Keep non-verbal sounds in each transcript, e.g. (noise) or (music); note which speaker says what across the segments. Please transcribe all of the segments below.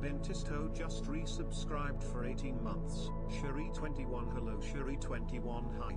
Speaker 1: Bentisto just resubscribed for 18 months. Sherry21 Hello Sherry21 Hype.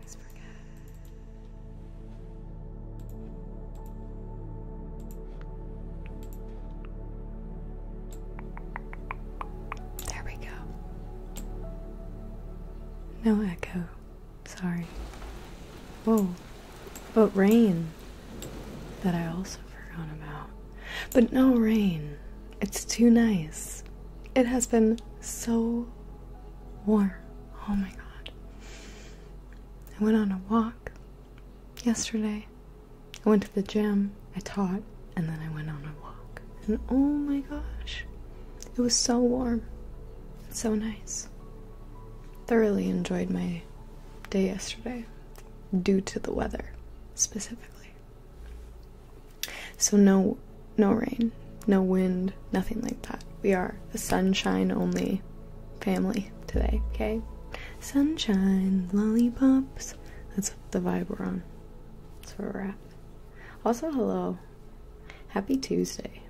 Speaker 2: always forget. There we go. No echo. Sorry. Whoa. But rain that I also forgot about. But no rain. It's too nice. It has been so warm. Oh my god. I went on a walk yesterday. I went to the gym, I taught, and then I went on a walk. And oh my gosh, it was so warm so nice. Thoroughly enjoyed my day yesterday due to the weather specifically. So no no rain no wind, nothing like that. We are a sunshine only family today, okay? Sunshine, lollipops. That's the vibe we're on. That's where we're at. Also, hello. Happy Tuesday.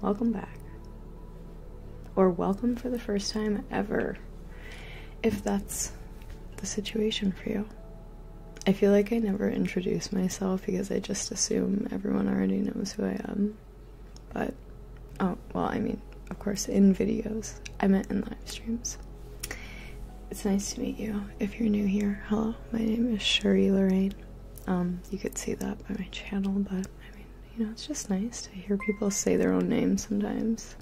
Speaker 2: Welcome back. Or welcome for the first time ever, if that's the situation for you. I feel like I never introduce myself because I just assume everyone already knows who I am. But, oh, well, I mean, of course, in videos. I meant in live streams. It's nice to meet you. If you're new here, hello. My name is Sherry Lorraine. Um, you could see that by my channel, but I mean, you know, it's just nice to hear people say their own names sometimes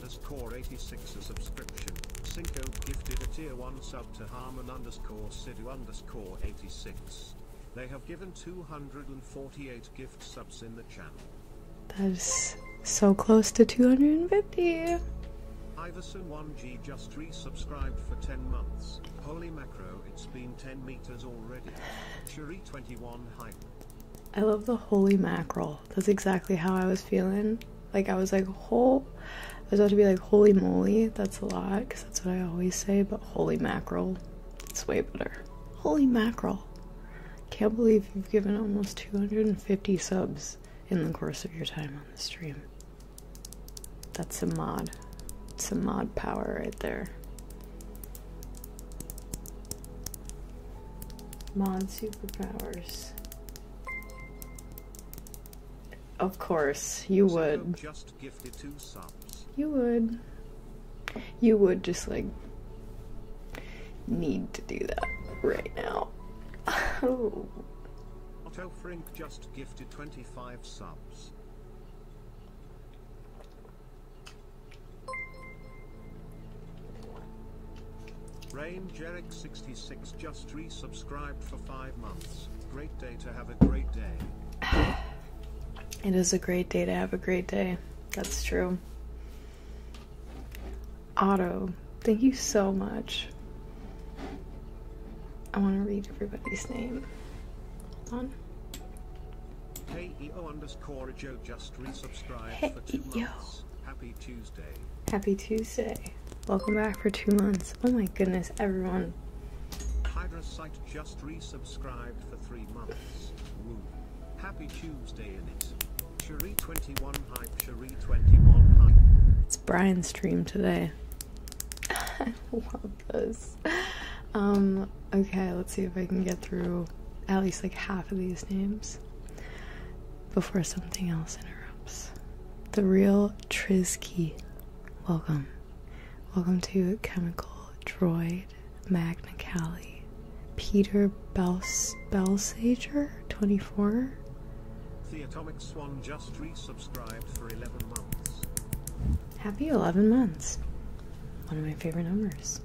Speaker 1: underscore 86 a subscription, Cinco gifted a tier 1 sub to Harmon underscore Sidhu underscore 86. They have given 248 gift subs in the channel.
Speaker 2: That is so close to 250.
Speaker 1: Iverson 1G just resubscribed for 10 months. Holy macro, it's been 10 meters already. Cherie 21 hype.
Speaker 2: I love the holy mackerel. That's exactly how I was feeling like I was like, whole, I was about to be like, holy moly, that's a lot, because that's what I always say, but holy mackerel, it's way better. Holy mackerel. Can't believe you've given almost 250 subs in the course of your time on the stream. That's some mod. Some mod power right there. Mod superpowers. Of
Speaker 1: course, you would.
Speaker 2: You would. You would just like need to do that right now. (laughs) Otto
Speaker 1: Frink just gifted 25 subs. Rain Eric 66 just re-subscribed for five months. Great day to have a great day.
Speaker 2: (sighs) it is a great day to have a great day. That's true. Otto, thank you so much. I want to read everybody's name. Hold on.
Speaker 1: KEO underscore Joe just re-subscribed for two yo. months. Happy Tuesday.
Speaker 2: Happy Tuesday. Welcome back for two months. Oh my goodness, everyone.
Speaker 1: Hydra site just resubscribed for three months. Happy Tuesday in it.
Speaker 2: It's Brian's stream today. (laughs) I love this. Um, okay, let's see if I can get through at least like half of these names before something else interrupts. The real Trisky. Welcome. Welcome to Chemical Droid Magna Cali. Peter Bels Belsager, 24.
Speaker 1: The Atomic Swan just resubscribed for 11 months.
Speaker 2: Happy 11 months. One of my favorite numbers.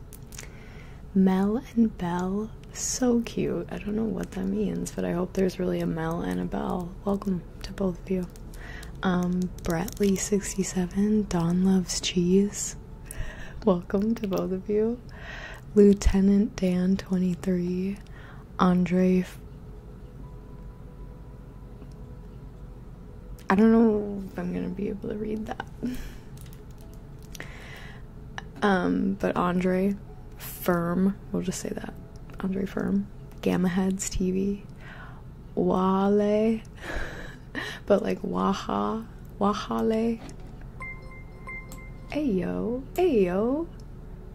Speaker 2: Mel and Bell, so cute. I don't know what that means, but I hope there's really a Mel and a Bell welcome to both of you. Um, Bradley67, Don Loves Cheese, welcome to both of you. Lieutenant Dan23, Andre. I don't know if I'm gonna be able to read that. (laughs) Um, but Andre, firm, we'll just say that. Andre firm. Gamma Heads TV, Wale, (laughs) but like Waha, Wahale. Hey yo, hey yo.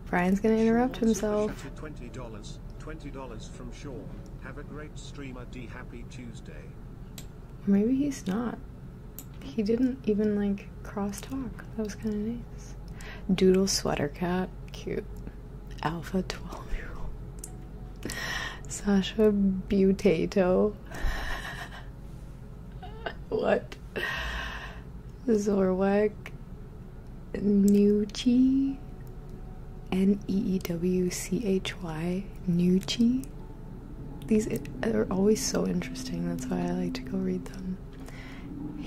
Speaker 2: Brian's gonna interrupt himself.
Speaker 1: Twenty dollars, twenty dollars from Sean. Have a great streamer. D happy Tuesday.
Speaker 2: Maybe he's not. He didn't even like cross talk. That was kind of neat. Doodle Sweater Cat, cute. Alpha 12 year old. Sasha Butato. (laughs) what? Zorwag Newchi N E E W C H Y. Newchi These are always so interesting. That's why I like to go read them.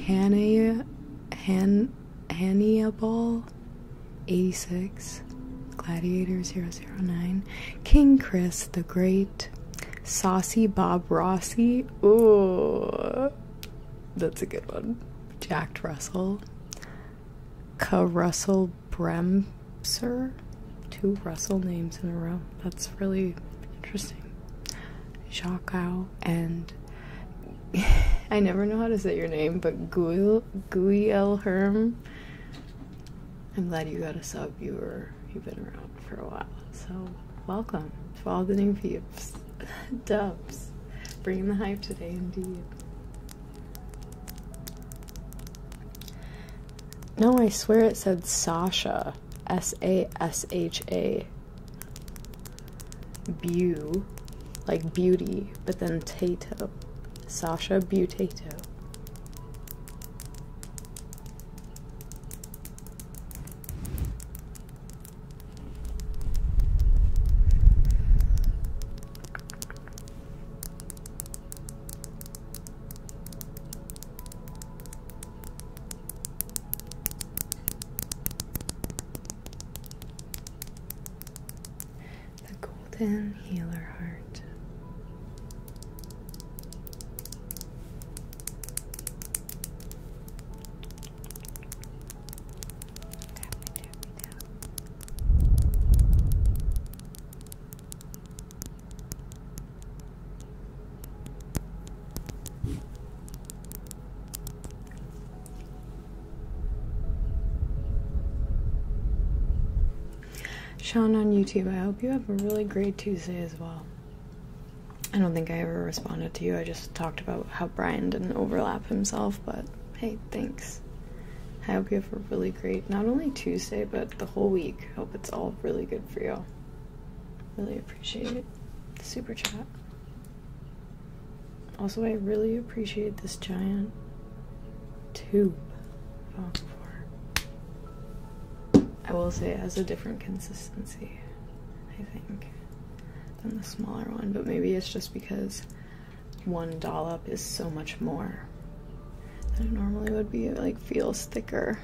Speaker 2: Hannah Han Annie Ball 86, Gladiator 009, King Chris the Great, Saucy Bob Rossi. Ooh, that's a good one. Jack Russell, K. Russell Bremser. Two Russell names in a row. That's really interesting. Zhao and (laughs) I never know how to say your name, but Guil Guil Herm. I'm glad you got a sub. You were you've been around for a while, so welcome to all the new peeps, (laughs) dubs, bringing the hype today, indeed. No, I swear it said Sasha, S A S H A. Bew, like beauty, but then Tato. Sasha Butato. The Golden Healer Heart. Sean on YouTube, I hope you have a really great Tuesday as well. I don't think I ever responded to you. I just talked about how Brian didn't overlap himself, but hey, thanks. I hope you have a really great, not only Tuesday, but the whole week. Hope it's all really good for you. Really appreciate it. Super chat. Also, I really appreciate this giant tube I will say it has a different consistency, I think, than the smaller one, but maybe it's just because one dollop is so much more than it normally would be. It like feels thicker.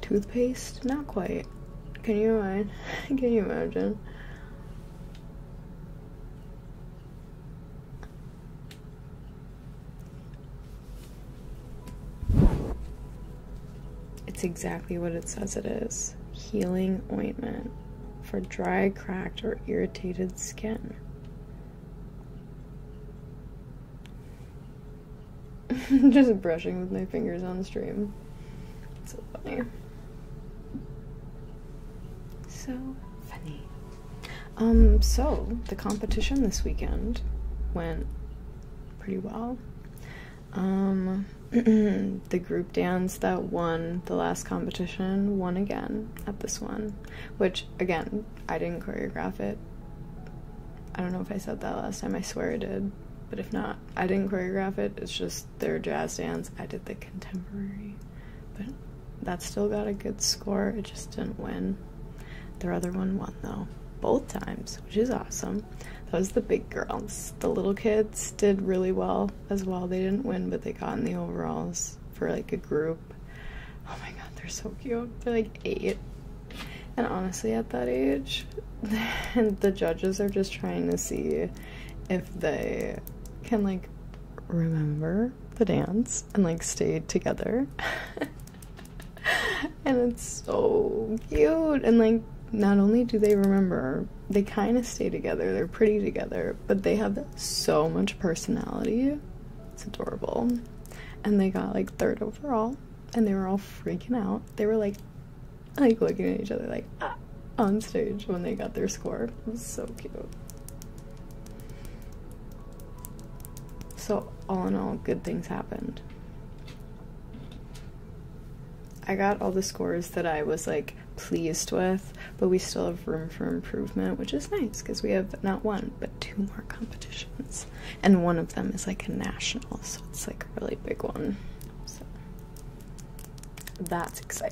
Speaker 2: Toothpaste? Not quite. (laughs) Can you imagine? It's exactly what it says it is healing ointment for dry, cracked, or irritated skin. (laughs) Just brushing with my fingers on stream. It's so funny. So funny. Um, so the competition this weekend went pretty well. Um, (clears throat) the group dance that won the last competition won again at this one, which again, I didn't choreograph it. I don't know if I said that last time, I swear I did, but if not, I didn't choreograph it. It's just their jazz dance. I did the contemporary, but that still got a good score. It just didn't win. Their other one won though, both times, which is awesome. That was the big girls. The little kids did really well as well. They didn't win, but they got in the overalls for like a group. Oh my god, they're so cute. They're like eight. And honestly, at that age, and (laughs) the judges are just trying to see if they can like remember the dance and like stay together. (laughs) and it's so cute and like not only do they remember, they kind of stay together. They're pretty together, but they have so much personality. It's adorable. And they got like third overall and they were all freaking out. They were like like looking at each other like uh, on stage when they got their score. It was so cute. So all in all, good things happened. I got all the scores that I was like pleased with, but we still have room for improvement, which is nice because we have not one, but two more competitions. And one of them is like a national, so it's like a really big one. So that's exciting.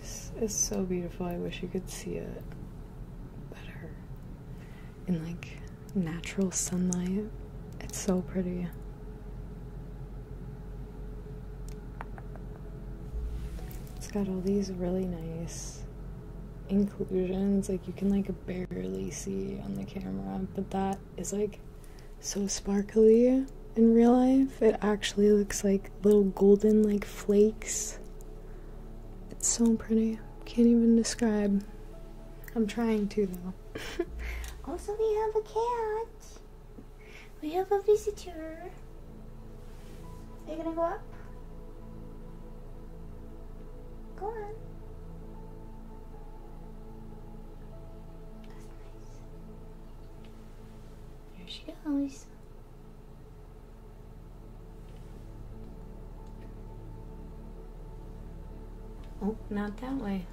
Speaker 2: This is so beautiful. I wish you could see it better in like natural sunlight. It's so pretty. It's got all these really nice inclusions like you can like barely see on the camera but that is like so sparkly in real life it actually looks like little golden like flakes it's so pretty can't even describe i'm trying to though (laughs) also we have a cat we have a visitor are you gonna go up Go on. That's nice. There she goes. Oh, not that way.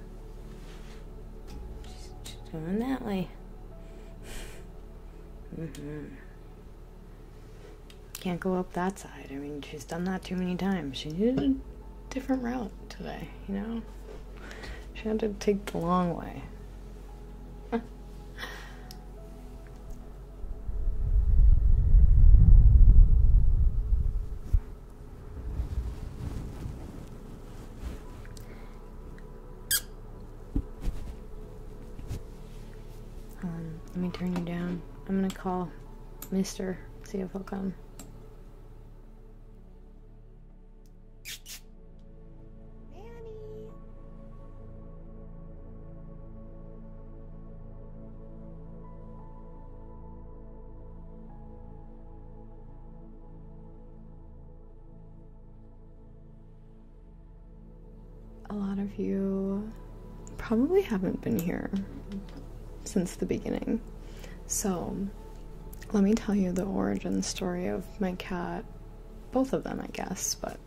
Speaker 2: Just going that way. (laughs) mm hmm can't go up that side. I mean, she's done that too many times. She needed a different route today, you know? She had to take the long way. (laughs) Um, let me turn you down. I'm gonna call Mister. See if he'll come. a lot of you probably haven't been here since the beginning. So, let me tell you the origin story of my cat, both of them, I guess, but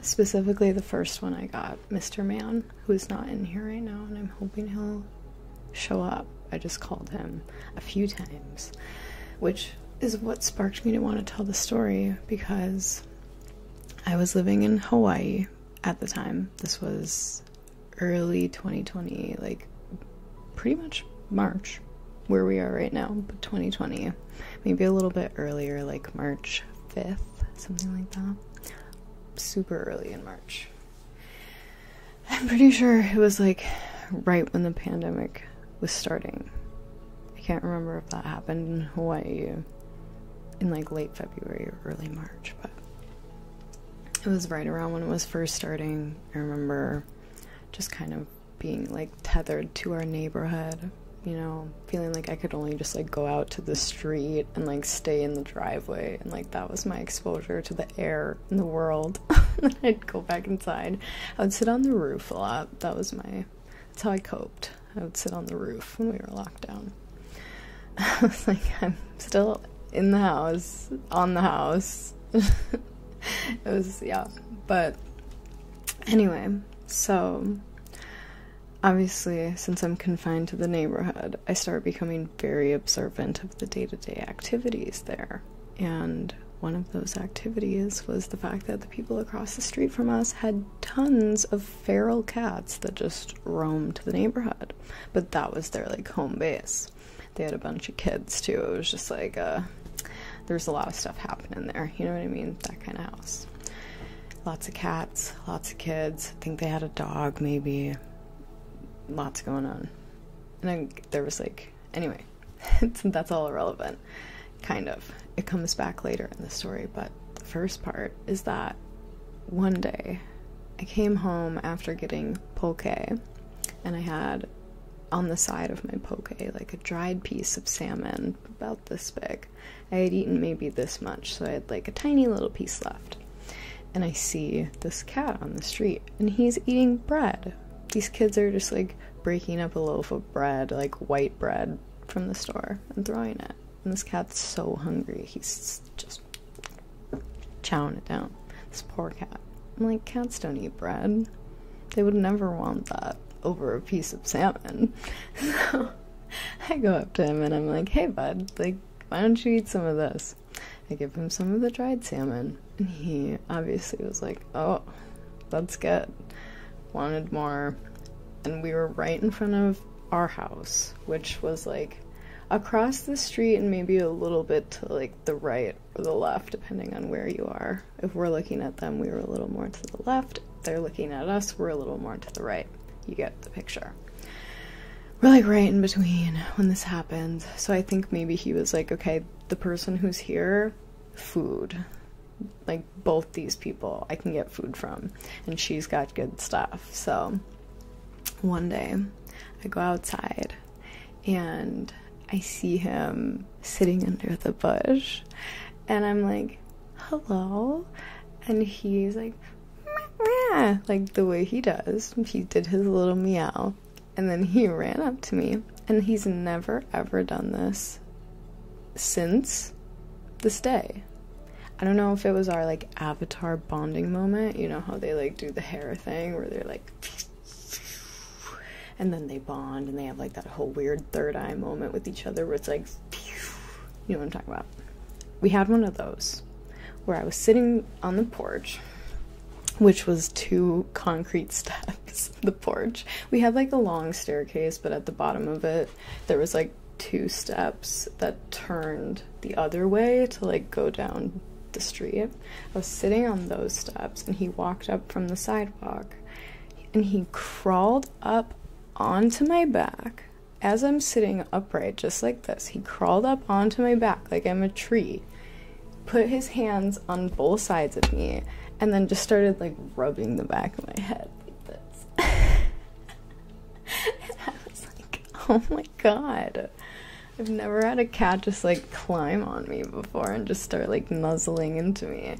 Speaker 2: specifically the first one I got, Mr. Man, who is not in here right now, and I'm hoping he'll show up. I just called him a few times, which is what sparked me to want to tell the story because I was living in Hawaii at the time. This was early 2020, like pretty much March, where we are right now, but 2020, maybe a little bit earlier, like March 5th, something like that. Super early in March. I'm pretty sure it was like right when the pandemic was starting. I can't remember if that happened in Hawaii in like late February or early March, but it was right around when it was first starting. I remember just kind of being like tethered to our neighborhood, you know, feeling like I could only just like go out to the street and like stay in the driveway and like that was my exposure to the air and the world. (laughs) then I'd go back inside. I would sit on the roof a lot. That was my that's how I coped. I would sit on the roof when we were locked down. (laughs) I was like, I'm still in the house, on the house. (laughs) it was, yeah. But anyway, so obviously, since I'm confined to the neighborhood, I start becoming very observant of the day to day activities there. And one of those activities was the fact that the people across the street from us had tons of feral cats that just roamed the neighborhood but that was their like home base. They had a bunch of kids too. It was just like uh, there's a lot of stuff happening there. You know what I mean? That kind of house. Lots of cats, lots of kids. I think they had a dog, maybe. Lots going on. And then there was like, anyway, (laughs) that's all irrelevant. Kind of. It comes back later in the story, but the first part is that one day I came home after getting poke and I had on the side of my poke like a dried piece of salmon about this big. I had eaten maybe this much, so I had like a tiny little piece left. And I see this cat on the street and he's eating bread. These kids are just like breaking up a loaf of bread, like white bread from the store and throwing it. And this cat's so hungry. He's just chowing it down. This poor cat. I'm like, cats don't eat bread. They would never want that over a piece of salmon. (laughs) So I go up to him and I'm like, hey, bud, like, why don't you eat some of this? I give him some of the dried salmon. And he obviously was like, oh, that's good. Wanted more. And we were right in front of our house, which was like across the street and maybe a little bit to like the right or the left depending on where you are if we're looking at them we are a little more to the left they're looking at us we're a little more to the right you get the picture we're like right in between when this happened so i think maybe he was like okay the person who's here food like both these people i can get food from and she's got good stuff so one day I go outside and I see him sitting under the bush and I'm like, hello. And he's like, meow, like the way he does. He did his little meow. And then he ran up to me. And he's never ever done this since this day. I don't know if it was our like avatar bonding moment. You know how they like do the hair thing where they're like and then they bond and they have like that whole weird third eye moment with each other where it's like you know what I'm talking about. We had one of those where I was sitting on the porch which was two concrete (laughs) steps the porch we had like a long staircase but at the bottom of it there was like two steps that turned the other way to like go down the street. I was sitting on those steps and he walked up from the sidewalk and he crawled up onto my back as I'm sitting upright, just like this. He crawled up onto my back like I'm a tree, put his hands on both sides of me, and then just started like rubbing the back of my head like this. (laughs) I was like, (laughs) oh my god. I've never had a cat just like climb on me before and just start like nuzzling into me.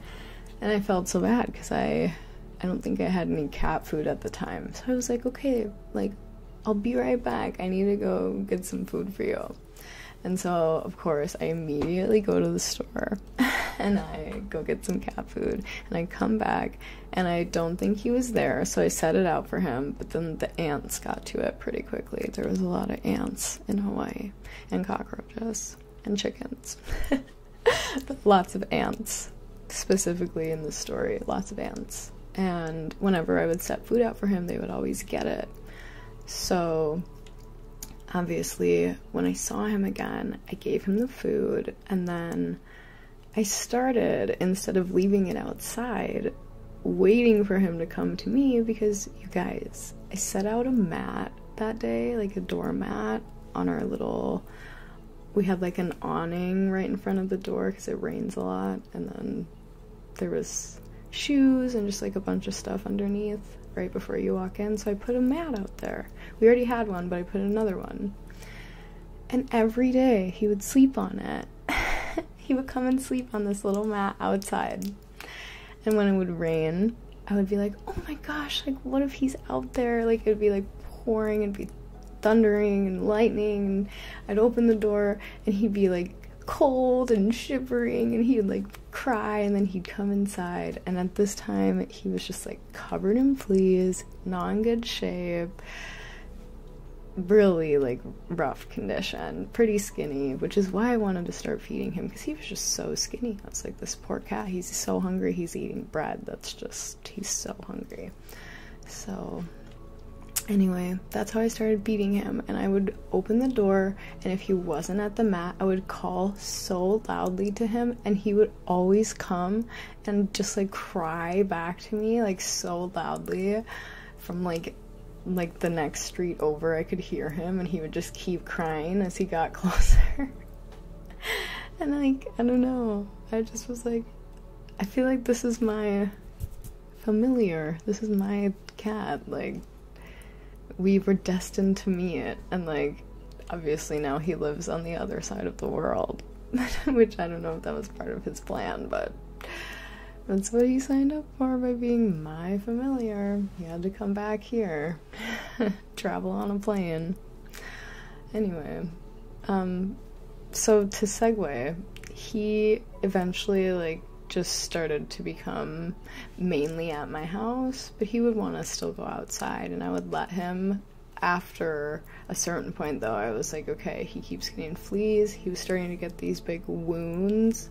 Speaker 2: And I felt so bad because I I don't think I had any cat food at the time. So I was like, okay, like I'll be right back. I need to go get some food for you. And so, of course, I immediately go to the store (laughs) and I go get some cat food and I come back and I don't think he was there, so I set it out for him, but then the ants got to it pretty quickly. There was a lot of ants in Hawaii, and cockroaches, and chickens. (laughs) lots of ants, specifically in the story, lots of ants. And whenever I would set food out for him, they would always get it. So obviously, when I saw him again, I gave him the food, and then I started, instead of leaving it outside, waiting for him to come to me because you guys, I set out a mat that day, like a doormat on our little. We had like an awning right in front of the door because it rains a lot, and then there was shoes and just like a bunch of stuff underneath right before you walk in. So I put a mat out there. We already had one, but I put another one. And every day he would sleep on it. (laughs) he would come and sleep on this little mat outside. And when it would rain, I would be like, oh my gosh, like, what if he's out there? Like, it'd be like pouring, and be thundering and lightning. And I'd open the door and he'd be like cold and shivering and he would like cry and then he'd come inside. And at this time, he was just like covered in fleas, not in good shape really like rough condition, pretty skinny, which is why I wanted to start feeding him because he was just so skinny. I was like, this poor cat, he's so hungry, he's eating bread. That's just, he's so hungry. So, anyway, that's how I started feeding him. And I would open the door, and if he wasn't at the mat, I would call so loudly to him, and he would always come and just like cry back to me, like so loudly from like like the next street over I could hear him and he would just keep crying as he got (laughs) closer. and like I don't know. I just was like I feel like this is my familiar. This is my cat. Like we were destined to meet and like obviously now he lives on the other side of the world. (laughs) Which I don't know if that was part of his plan, but that's what he signed up for by being my familiar. He had to come back here, (laughs) travel on a plane. Anyway, um, so to segue, he eventually, like, just started to become mainly at my house, but he would want to still go outside, and I would let him. After a certain point, though, I was like, okay, he keeps getting fleas. He was starting to get these big wounds.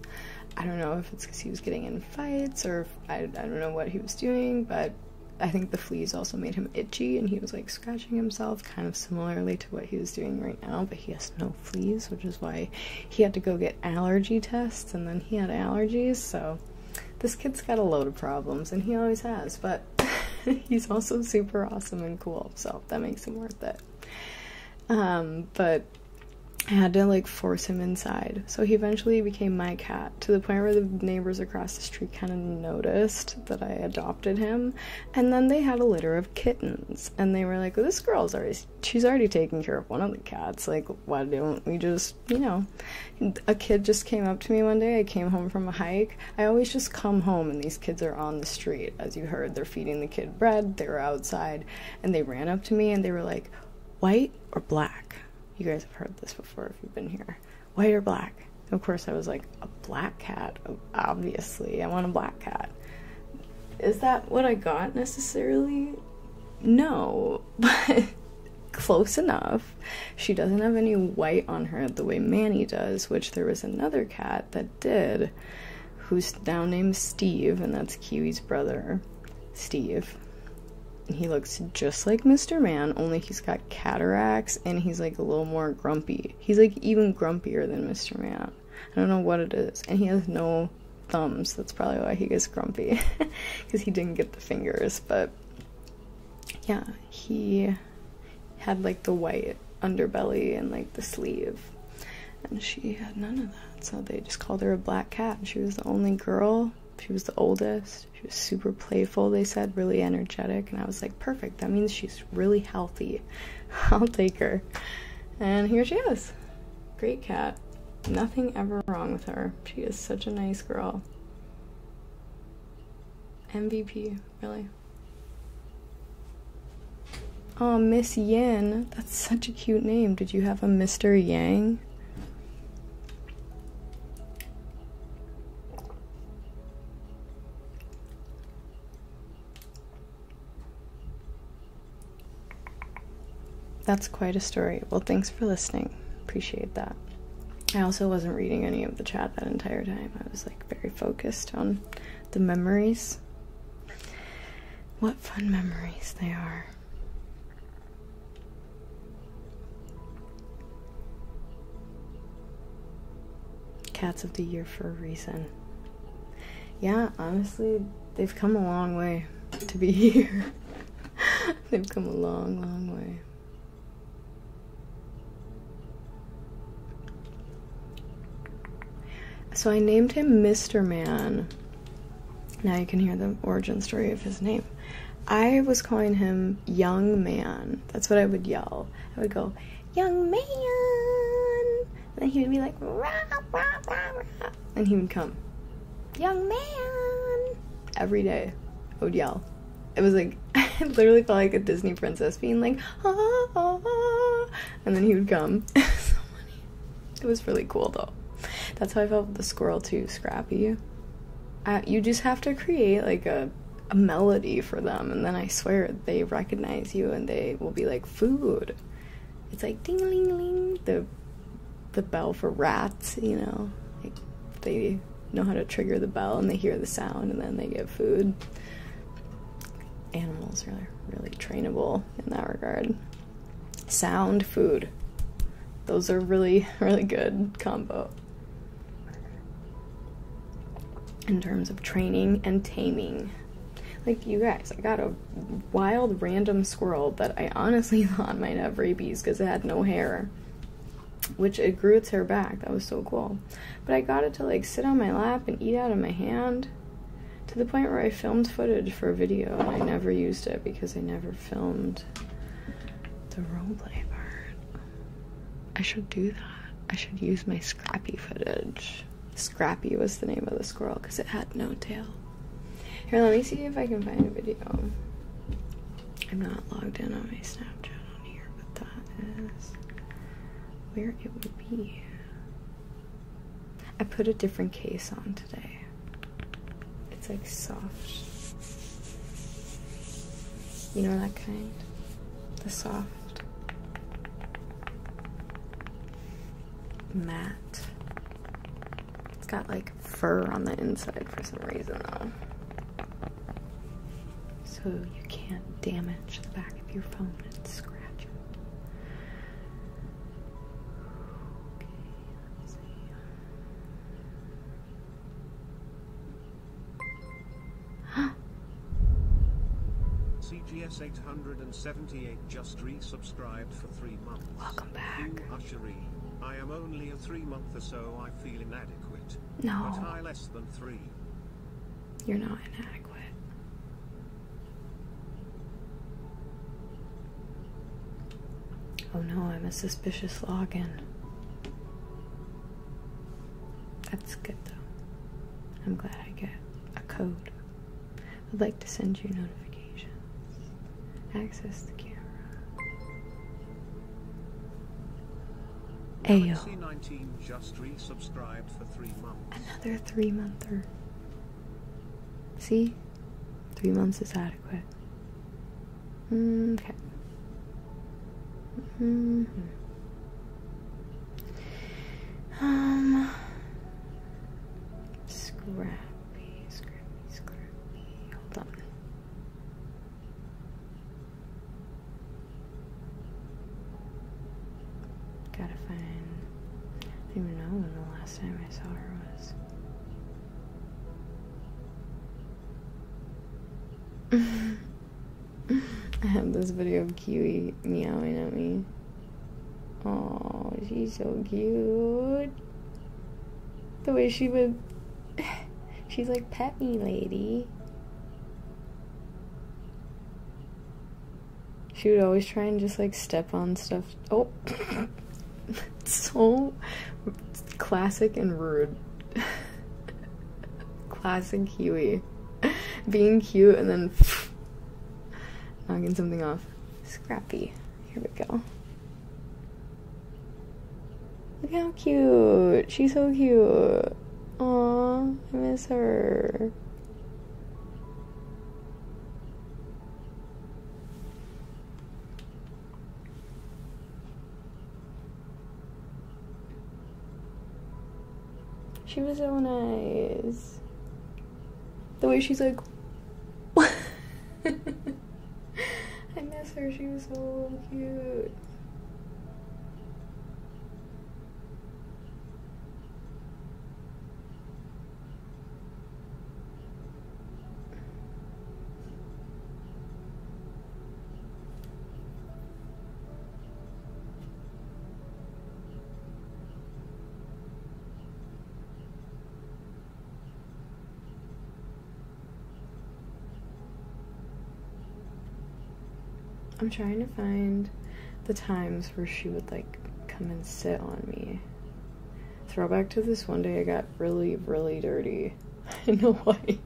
Speaker 2: I don't know if it's because he was getting in fights or I don't know what he was doing, but I think the fleas also made him itchy and he was like scratching himself, kind of similarly to what he was doing right now, but he has no fleas, which is why he had to go get allergy tests and then he had allergies, so this kid's got a load of problems and he always has, but (laughs) he's also super awesome and cool, so that makes him worth it. Um, but I had to like force him inside. So he eventually became my cat to the point where the neighbors across the street kind of noticed that I adopted him. And then they had a litter of kittens. And they were like, well, this girl's already, she's already taking care of one of the cats. Like, why don't we just, you know? A kid just came up to me one day. I came home from a hike. I always just come home and these kids are on the street. As you heard, they're feeding the kid bread, they were outside, and they ran up to me and they were like, white or black? You guys have heard this before if you've been here. White or black? of course, I was like, a black cat? Obviously, I want a black cat. Is that what I got necessarily? No, (laughs) but close enough. She doesn't have any white on her the way Manny does, which there was another cat that that did, who's now named Steve, and that's Kiwi's brother, Steve. he looks just like Mr. Man, only he's got cataracts and he's like a little more grumpy. He's like even grumpier than Mr. Man. I don't know what it is. And he has no thumbs. That's probably why he gets grumpy because (laughs) he didn't get the fingers. But yeah, he had like the white underbelly and like the sleeve. And she had none of that, so they just called her a black cat. And she was the only girl. She was the oldest. She was super playful, they said, really energetic. And I was like, perfect. That means she's really healthy. (laughs) I'll take her. And here she is. Great cat. Nothing ever wrong with her. She is such a nice girl. MVP, really. Oh, Miss Yan. That's such a cute name. Did you have a Mr. Yang? That's quite a story. Well, thanks for listening. Appreciate that. I also wasn't reading any of the chat that entire time. I was like very focused on the memories. What fun memories they are. Cats of the Year for a reason. Yeah, honestly, they've come a long way to be (laughs) here. they've come a long, long way. So I named him Mr. Man. Now you can hear the origin story of his name. I was calling him Young Man. That's what I would yell. I would go, Young Man! And then he would be like, And he would come, Young Man! Every day, I would yell. It was like, (laughs) I literally felt like a Disney princess being like, ah, and then he would come. (laughs) It was really cool though. That's how I felt the squirrel too, Scrappy. you just have to create like a, melody for them, and then I swear they recognize you and they will be like food. It's like ding ling ling the the bell for rats, you know. they know how to trigger the bell and they hear the sound and then they get food. Animals are really trainable in that regard. Sound, food. Those are really, (laughs) really good combo. In terms of training and taming. Like, you guys, I got a wild random squirrel that I honestly (laughs) thought might have rabies because it had no hair. Which it grew its hair back. That was so cool. But I got it to like sit on my lap and eat out of my hand to the point where I filmed footage for a video and I never used it because I never filmed the roleplay part. I should do that. I should use my Scrappy footage. Scrappy was the name of the squirrel because it had no tail. Here, let me see if I can find a video. I'm not logged in on my Snapchat on here, but that is where it would be. I put a different case on today. It's like soft. You know that kind? The soft matte. It's got like fur on the inside for some reason though. So you can't damage the back of your phone and scratch it.
Speaker 1: Huh? CGS 878 just resubscribed for three months. Welcome back. Ushery, I am only a three month or so. I feel inadequate. No. But I less than three.
Speaker 2: You're not inadequate. Oh no, I'm a suspicious login. That's good though. I'm glad I get a code. I'd like to send you notifications. Access the camera.
Speaker 1: Ayo.
Speaker 2: Another three monther. See? Three months is adequate. Mm, okay. Mm-hmm. Um. Scrappy, scrappy, scrappy. Hold on. Gotta find. I don't even know when the last time I saw her was. (laughs) I have this video of Kiwi meowing at me. Oh, she's so cute. The way she would. (sighs) she's like, pet me, lady she would always try and just like step on stuff. Oh, (laughs) so classic and rude. (laughs) classic Huey. Being cute and then (laughs) knocking something off. Scrappy. Here we go. Look how cute. She's so cute. Aw, I miss her. She was so nice. The way she's like, (laughs) I miss her. She was so cute. I'm trying to find the times where she would like come and sit on me Throwback to this one day I got really, really dirty. (laughs) I know why.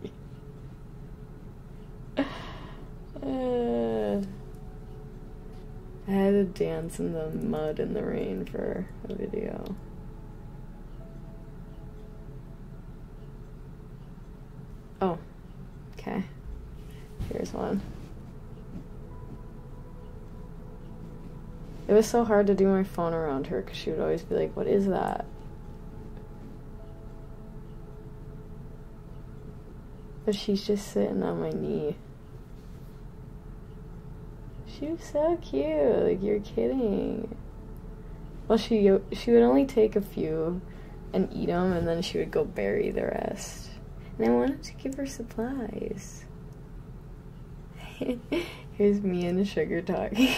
Speaker 2: Uh, I had to dance in the mud in the rain for a video. Oh, okay. Here's one. It was so hard to do my phone around her because she would always be like, What is that? But she's just sitting on my knee. She's so cute. Like, you're kidding. Well, she, she would only take a few and eat them, and then she would go bury the rest. And I wanted to give her supplies. (laughs) Here's me and Sugar talking.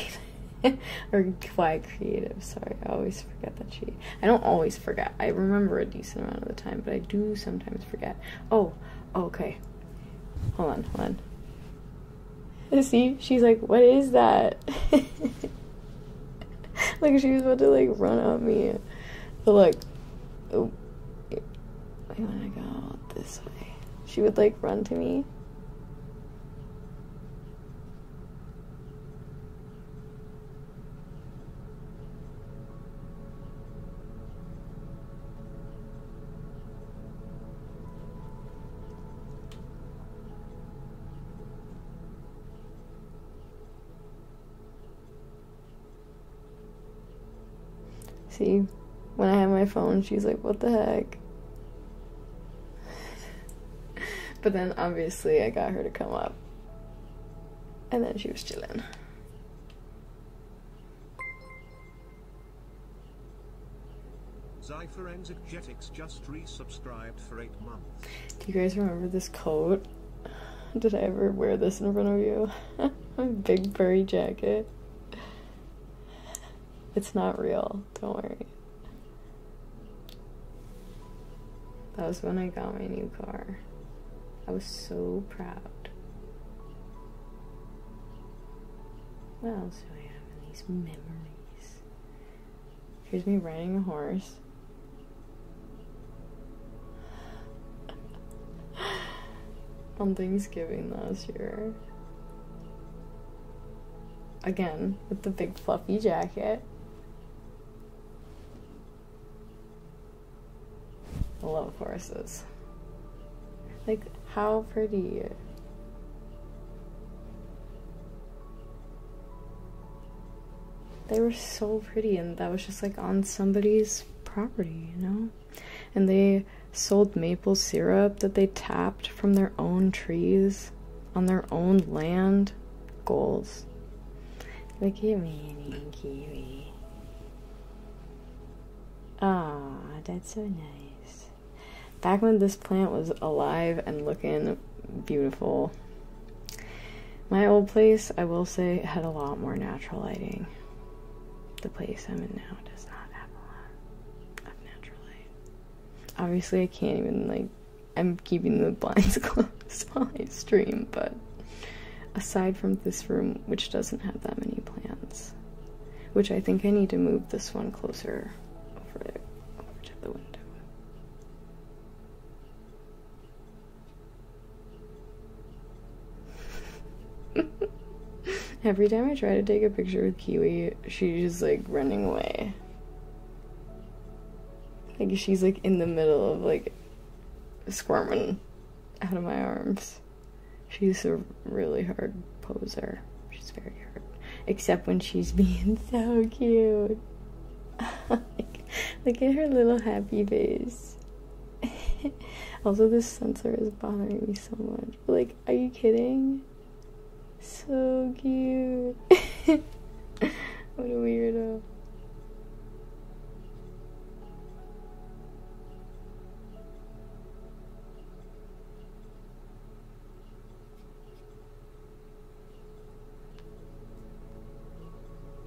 Speaker 2: We're (laughs) quite Creative, sorry, I always forget that she. I don't always forget. I remember a decent amount of the time, but I do sometimes forget. Oh, okay. Hold on, hold on. (laughs) See, she's like, what is that? like she was about to like run on me. But like, oh, I wanna go this way. She would like run to me. See, when I had my phone, she's like, what the heck? (laughs) but then obviously I got her to come up. And then she was chilling. Do you guys remember this coat? Did I ever wear this in front of you? My (laughs) big furry jacket. (laughs) It's not real, don't worry. That was when I got my new car. I was so proud. What else do I have in these memories? Here's me riding a horse on Thanksgiving last year. Again, with the big fluffy jacket. I love horses. Like, how pretty. They were so pretty, and that was just like on somebody's property, you know? and they sold maple syrup that they tapped from their own trees on their own land. Goals. Look at me, Kiwi. Ah, that's so nice. Back when this plant was alive and looking beautiful. My old place, I will say, had a lot more natural lighting. The place I'm in now does not have. Obviously, I can't even, like, I'm keeping the blinds (laughs) closed (laughs) while I stream, but aside from this room, which doesn't have that many plants, which I think I need to move this one closer over, there, over to the window. Every time I try to take a picture with Kiwi, she's like running away. Like she's like in the middle of like squirming out of my arms. She's a really hard poser. She's very hard. Except when she's (laughs) being so cute. (laughs) look at her little happy face. (laughs) also, this sensor is bothering me so much. Like, are you kidding? So cute. (laughs) what a weirdo.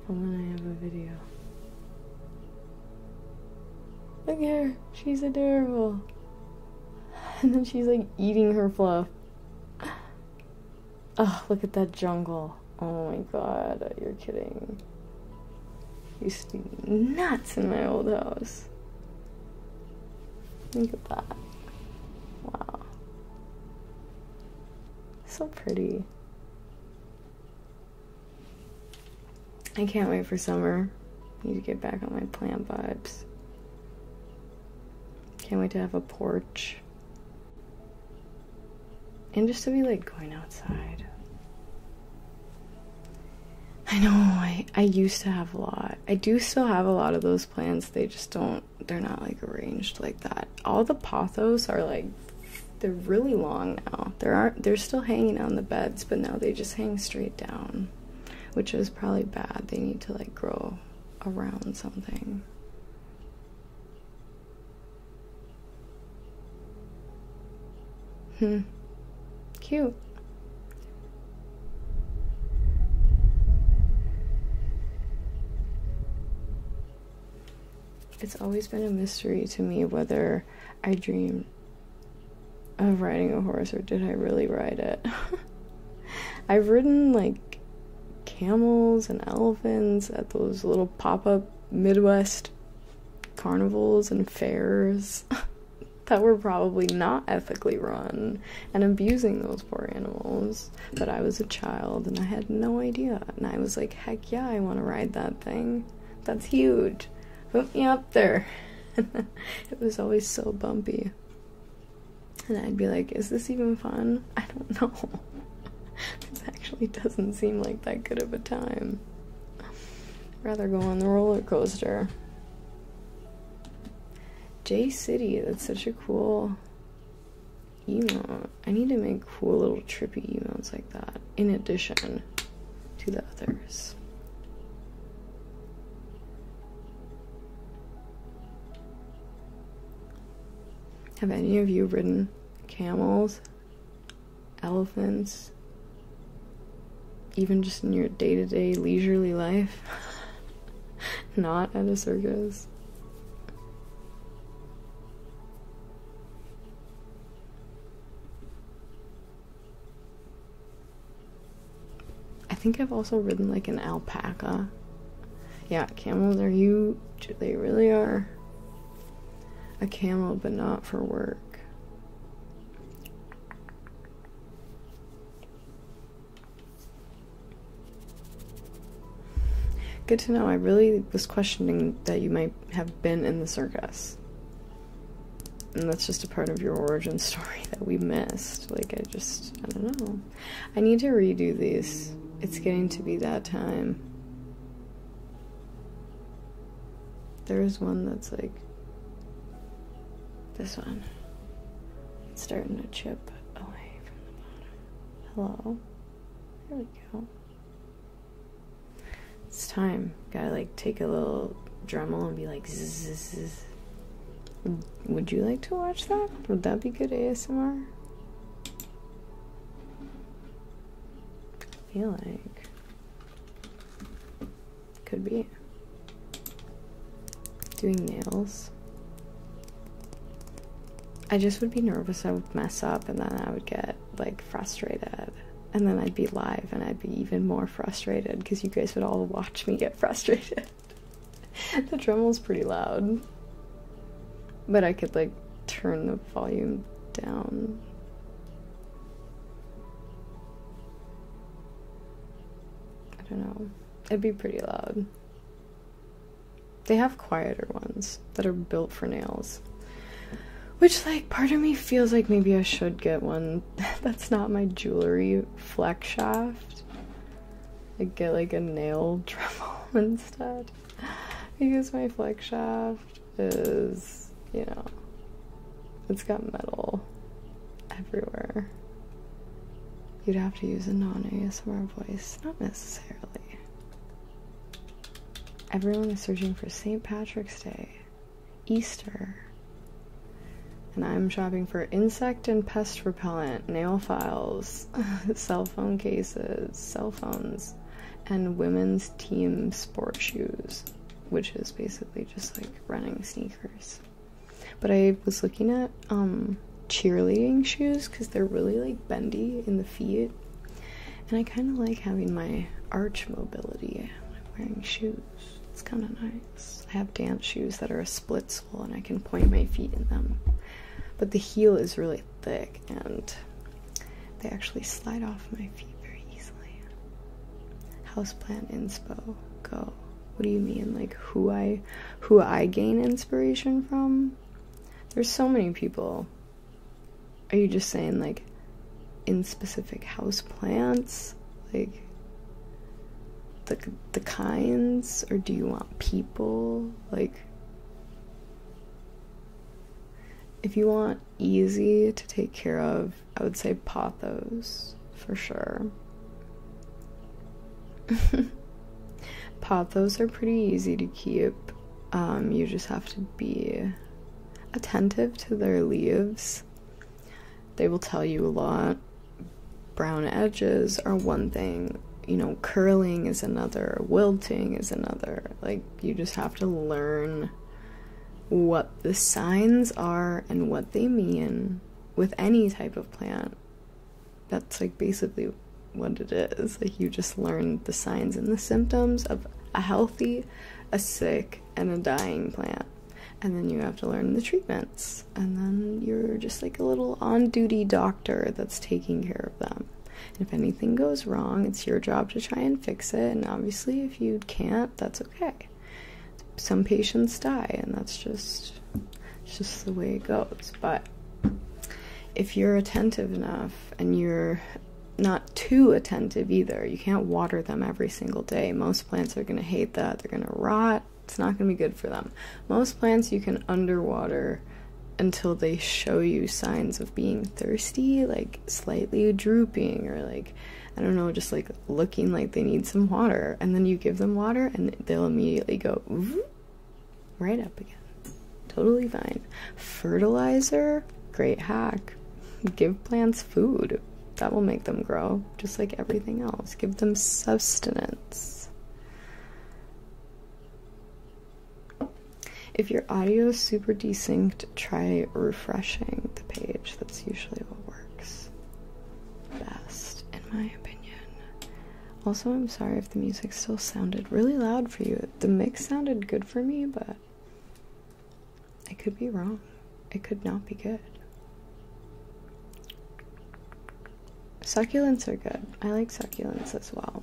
Speaker 2: And then I have a video. Look at her. She's adorable. And then she's like eating her fluff. Oh, look at that jungle. Oh my god, you're kidding. Used to be nuts in my old house. Look at that. Wow. So pretty. I can't wait for summer. Need to get back on my plant vibes. Can't wait to have a porch. And just to be like going outside. I know I I used to have a lot. I do still have a lot of those plants. They just don't they're not like arranged like that. All the pothos are like they're really long now. There aren't they're still hanging on the beds, but now they just hang straight down, which is probably bad. They need to like grow around something. Hmm. Cute. It's always been a mystery to me whether I dreamed of riding a horse or did I really ride it? (laughs) I've ridden like camels and elephants at those little pop up Midwest carnivals and fairs (laughs) that were probably not ethically run and abusing those poor animals. But I was a child and I had no idea. And I was like, heck yeah, I want to ride that thing. That's huge. Hook me up there. (laughs) it was always so bumpy. And I'd be like, is this even fun? I don't know. (laughs) this actually doesn't seem like that good of a time. I'd rather go on the roller coaster. J City, that's such a cool emote. I need to make cool little trippy emotes like that. In addition to the others. Have any of you ridden camels, elephants, even just in your day to day leisurely life? (laughs) Not at a circus. I think I've also ridden like an alpaca. Yeah, camels are huge. They really are. A camel, but not for work. Good to know. I really was questioning that you might have been in the circus and that's just a part of your origin story that we missed. Like, I just, I don't know. I need to redo these. It's getting to be that time. There's one that's like this one. It's starting to chip away from the bottom. Hello. There we go. It's time. Gotta like take a little Dremel and be like, Would you like to watch that? Would that be good ASMR? I feel like. Could be. Doing nails. I just would be nervous I would mess up and then I would get like frustrated. And then I'd be live and I'd be even more frustrated because you guys would all watch me get frustrated. (laughs) the tremol's pretty loud. But I could like turn the volume down. I don't know. It'd be pretty loud. They have quieter ones that are built for nails. Which, like, part of me feels like maybe I should get one (laughs) that's not my jewelry flex shaft. I get like a nail (laughs) tremel instead. Because my flex shaft is, you know, it's got metal everywhere. You'd have to use a non ASMR voice. Not necessarily. Everyone is searching for St. Patrick's Day. Easter. And I'm shopping for insect and pest repellent, nail files, (laughs) cell phone cases, cell phones, and women's team sport shoes, which is basically just like running sneakers. But I was looking at um, cheerleading shoes because they're really like bendy in the feet. And I kind of like having my arch mobility I'm wearing shoes. It's kind of nice. I have dance shoes that are a split sole and I can point my feet in them. But the heel is really thick and they actually slide off my feet very easily. Houseplant inspo. Go. What do you mean? Like who I who I gain inspiration from? There's so many people. Are you just saying like in specific house plants? Like the the kinds or do you want people? Like if you want easy to take care of, I would say Pothos for sure. (laughs) Pothos are pretty easy to keep. Um, you just have to be attentive to their leaves they will tell you a lot. Brown edges are one thing, you know, curling is another, wilting is another. Like, you just have to learn what the signs are and what they mean with any type of plant. That's like basically what it is. Like, you just learn the signs and the symptoms of a healthy, a sick, and a dying plant and then you have to learn the treatments and then you're just like a little on-duty doctor that's taking care of them if anything goes wrong it's your job to try and fix it and obviously if you can't that's okay some patients die and that's just it's just the way it goes but if you're attentive enough and you're not too attentive either. You can't water them every single day. Most plants are going to hate that. They're going to rot it's not going to be good for them. Most plants you can underwater until they show you signs of being thirsty, like slightly drooping, or like, I don't know, just like looking like they need some water. And then you give them water and they'll immediately go right up again. Totally fine. Fertilizer, great hack. Give plants food. That will make them grow, just like everything else. Give them sustenance. If your audio is super desynced, try refreshing the page. That's usually what works best, in my opinion. Also, I'm sorry if the music still sounded really loud for you. The mix sounded good for me, but I could be wrong it could not be good. Succulents are good. I like succulents as well.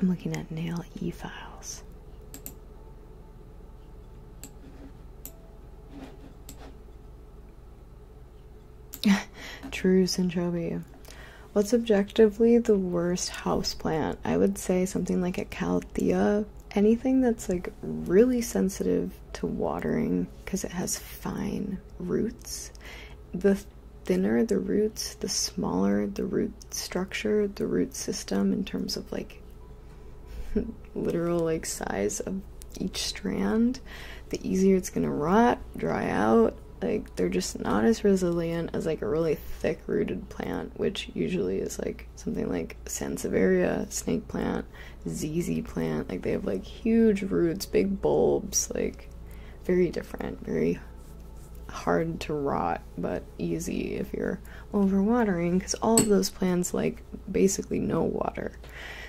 Speaker 2: I'm looking at nail e-files. (laughs) True Sinchobi. What's objectively the worst house plant? I would say something like a Calathea. Anything that's like really sensitive to watering because it has fine roots. The thinner the roots, the smaller the root structure, the root system in terms of like (laughs) literal like size of each strand, the easier it's gonna rot, dry out. Like they're just not as resilient as like a really thick rooted plant, which usually is like something like Sansevieria, snake plant, ZZ plant. Like they have like huge roots, big bulbs, like very different, very hard to rot, but easy if you're overwatering because all of those plants like basically no water.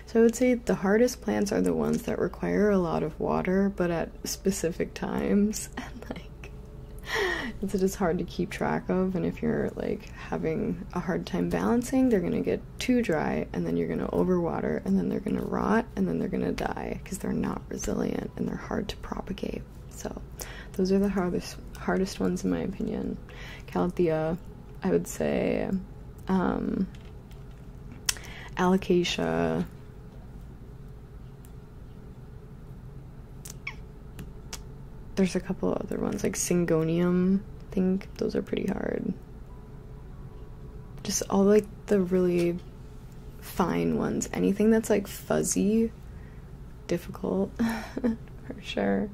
Speaker 2: So I would say the hardest plants are the ones that require a lot of water, but at specific times (laughs) and like (laughs) it's just hard to keep track of and if you're like having a hard time balancing they're going to get too dry and then you're going to overwater and then they're going to rot and then they're going to die because they're not resilient and they're hard to propagate so those are the hardest hardest ones in my opinion calathea i would say um there's a couple other ones like Syngonium. I think those are pretty hard. Just all like the really fine ones. Anything that's like fuzzy, difficult (laughs) for sure.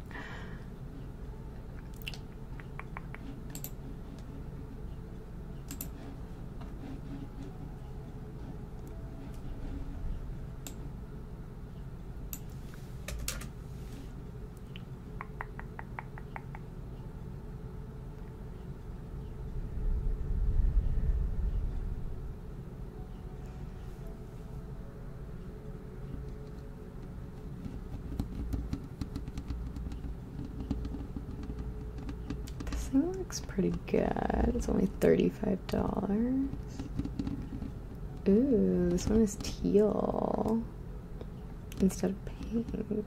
Speaker 2: This thing looks pretty good. It's only 30 Five dollars Ooh, this one is teal instead of pink.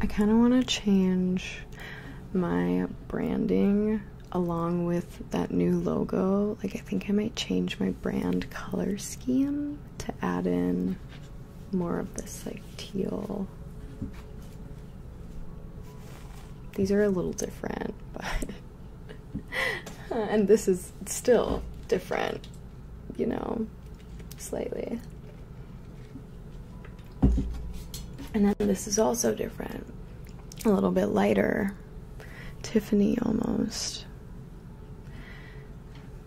Speaker 2: I kind of want to change my branding along with that new logo, like I think I might change my brand color scheme to add in more of this like teal. These are a little different, (laughs) but and this is still different, you know, slightly. And then this is also different a little bit lighter, Tiffany almost.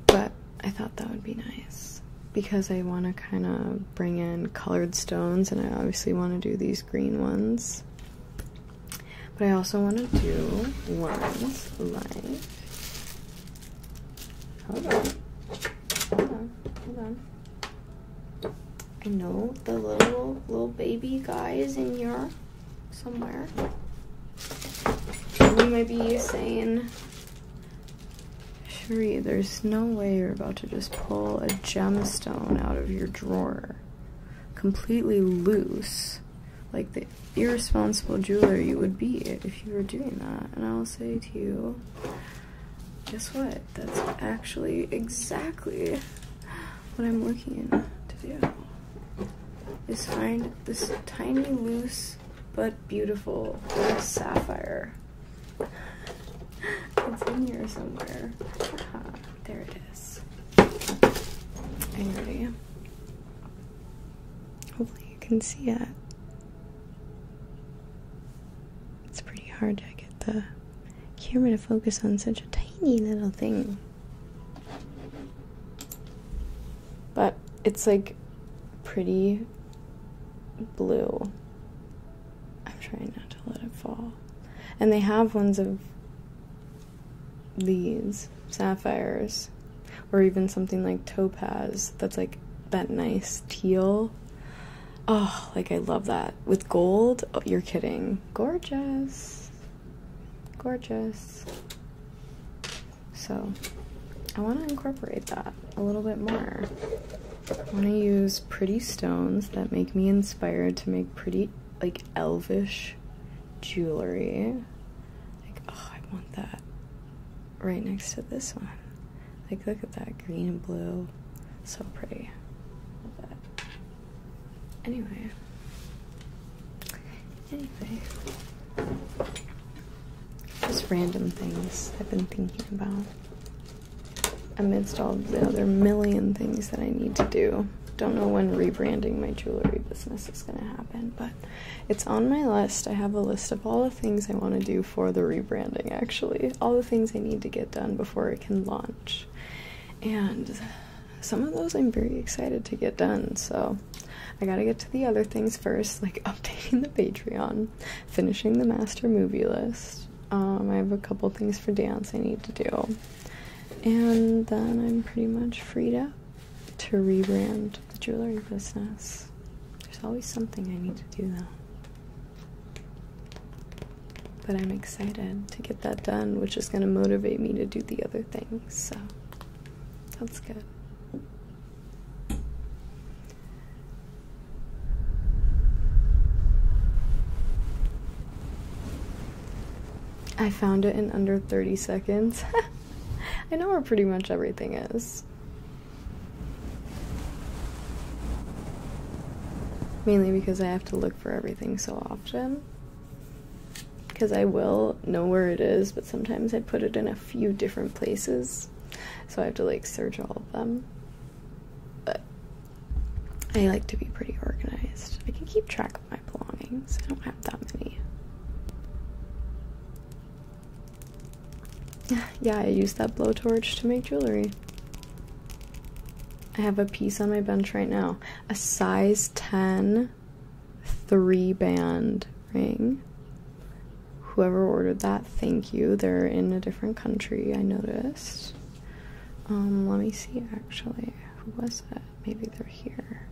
Speaker 2: But I thought that would be nice because I want to kind of bring in colored stones and I obviously want to do these green ones. But I also want to do ones like, hold on, hold on, hold on. I know the little, little baby guy is in here somewhere. You might be saying, Sheree, there's no way you're about to just pull a gemstone out of your drawer completely loose, like the irresponsible jeweler you would be if you were doing that. And I will say to you, guess what? That's actually exactly what I'm looking to do is find this tiny, loose, but beautiful sapphire. (laughs) it's in here somewhere. there it is. Are you ready? Hopefully you can see that. It's pretty hard to get the camera to focus on such a tiny little thing. But it's like pretty blue. I'm trying not to let it fall. And they have ones of these sapphires or even something like topaz that's like that nice teal. Oh, like I love that. With gold? Oh, you're kidding. Gorgeous gorgeous. So I want to incorporate that a little bit more. I want to use pretty stones that make me inspired to make pretty, like, elvish jewelry. Like, oh, I want that right next to this one. Like, look at that green and blue. So pretty. Love that. Anyway. Anyway. Just random things I've been thinking about amidst all the other million things that I need to do. Don't know when rebranding my jewelry business is going to happen, but it's on my list. I have a list of all the things I want to do for the rebranding, actually, all the things I need to get done before it can launch. And some of those I'm very excited to get done, so I gotta get to the other things first, (laughs) like updating the Patreon, finishing the master movie list. Um, I have a couple things for dance I need to do, and then I'm pretty much freed up to rebrand the jewelry business. There's always something I need to do, though. But I'm excited to get that done, which is going to motivate me to do the other things. So that's good. I found it in under 30 seconds. (laughs) I know where pretty much everything is. Mainly because I have to look for everything so often because I will know where it is, but sometimes I put it in a few different places, so I have to like search all of them. But I like to be pretty organized. I can keep track of my belongings, I don't have that many. (sighs) Yeah, I used that blowtorch to make jewelry. I have a piece on my bench right now, a size 10 three band ring. Whoever ordered that, thank you. They're in a different country, I noticed. Um, let me see actually. Who was that? Maybe they're here.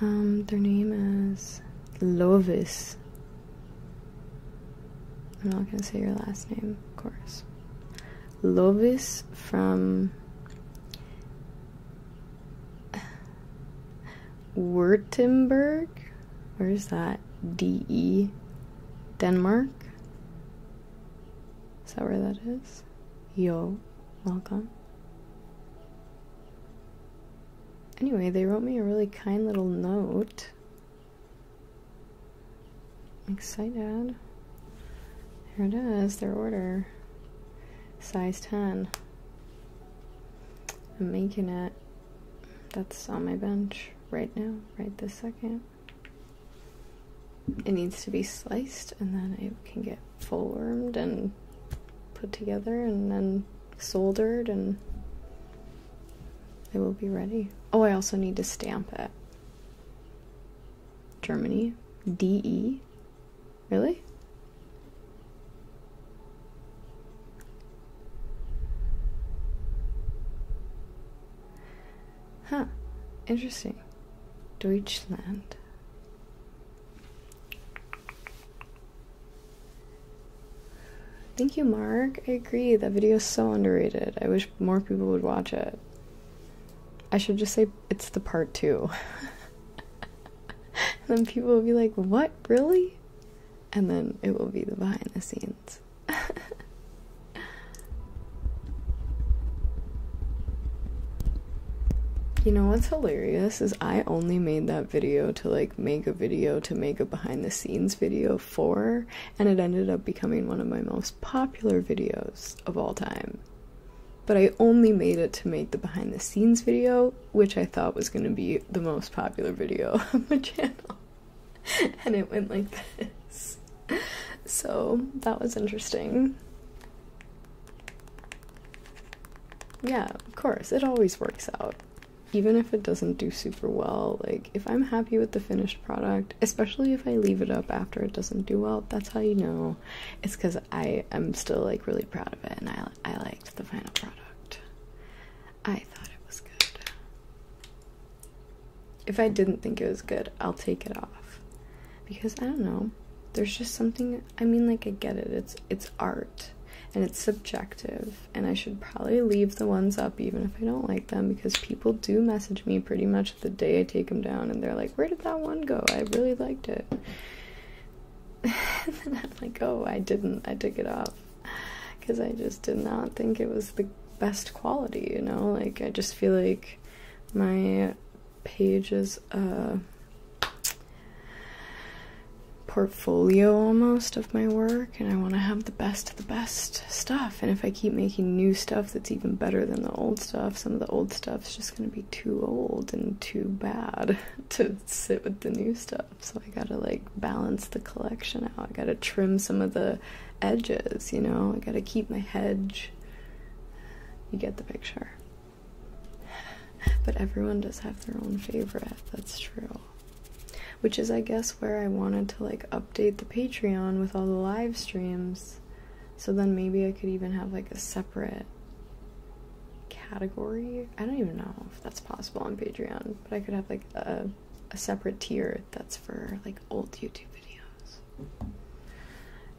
Speaker 2: Um, their name is Lovis. I'm not gonna say your last name, of course. Lovis from Wurtemberg, Where is that? DE Denmark. Is that where that is? Yo, welcome. Anyway, they wrote me a really kind little note I'm excited. There it is, their order. Size 10. I'm making it. That's on my bench right now, right this second. It needs to be sliced and then it can get formed and put together and then soldered and it will be ready. Oh, I also need to stamp it. Germany. DE. Really? Huh. Interesting. Deutschland. Thank you, Mark. I agree. That video is so underrated. I wish more people would watch it. I should just say it's the part two. (laughs) then people will be like, what? Really? And then it will be the behind the scenes. (laughs) you know what's hilarious is I only made that video to like make a video to make a behind the scenes video for and it ended up becoming one of my most popular videos of all time. But I only made it to make the behind the scenes video, which I thought was going to be the most popular video (laughs) on my channel. (laughs) and it went like this. So that was interesting. Yeah, of course, it always works out. Even if it doesn't do super well, like, if I'm happy with the finished product, especially if I leave it up after it doesn't do well. That's how you know it's because I am still like really proud of it and I, I liked the final product. I thought it was good. If I didn't think it was good, I'll take it off because I don't know. There's just something. I mean, like I get it. It's it's art and it's subjective and I should probably leave the ones up even if I don't like them because people do message me pretty much the day I take them down, and they're like, Where did that one go? I really liked it. (laughs) and then I'm like, Oh, I didn't. I took it off because I just did not think it was the best quality, you know? Like, I just feel like my pages, uh, portfolio almost of my work and I want to have the best of the best stuff. And if I keep making new stuff that's even better than the old stuff, some of the old stuff is just gonna be too old and too bad (laughs) to sit with the new stuff. So I gotta like balance the collection out. I gotta trim some of the edges, you know? I gotta keep my hedge. You get the picture. (sighs) But everyone does have their own favorite, that's true. Which is, I guess, where I wanted to like update the Patreon with all the live streams. So then maybe I could even have like a separate category. I don't even know if that's possible on Patreon, but I could have like a, a separate tier that's for like old YouTube videos.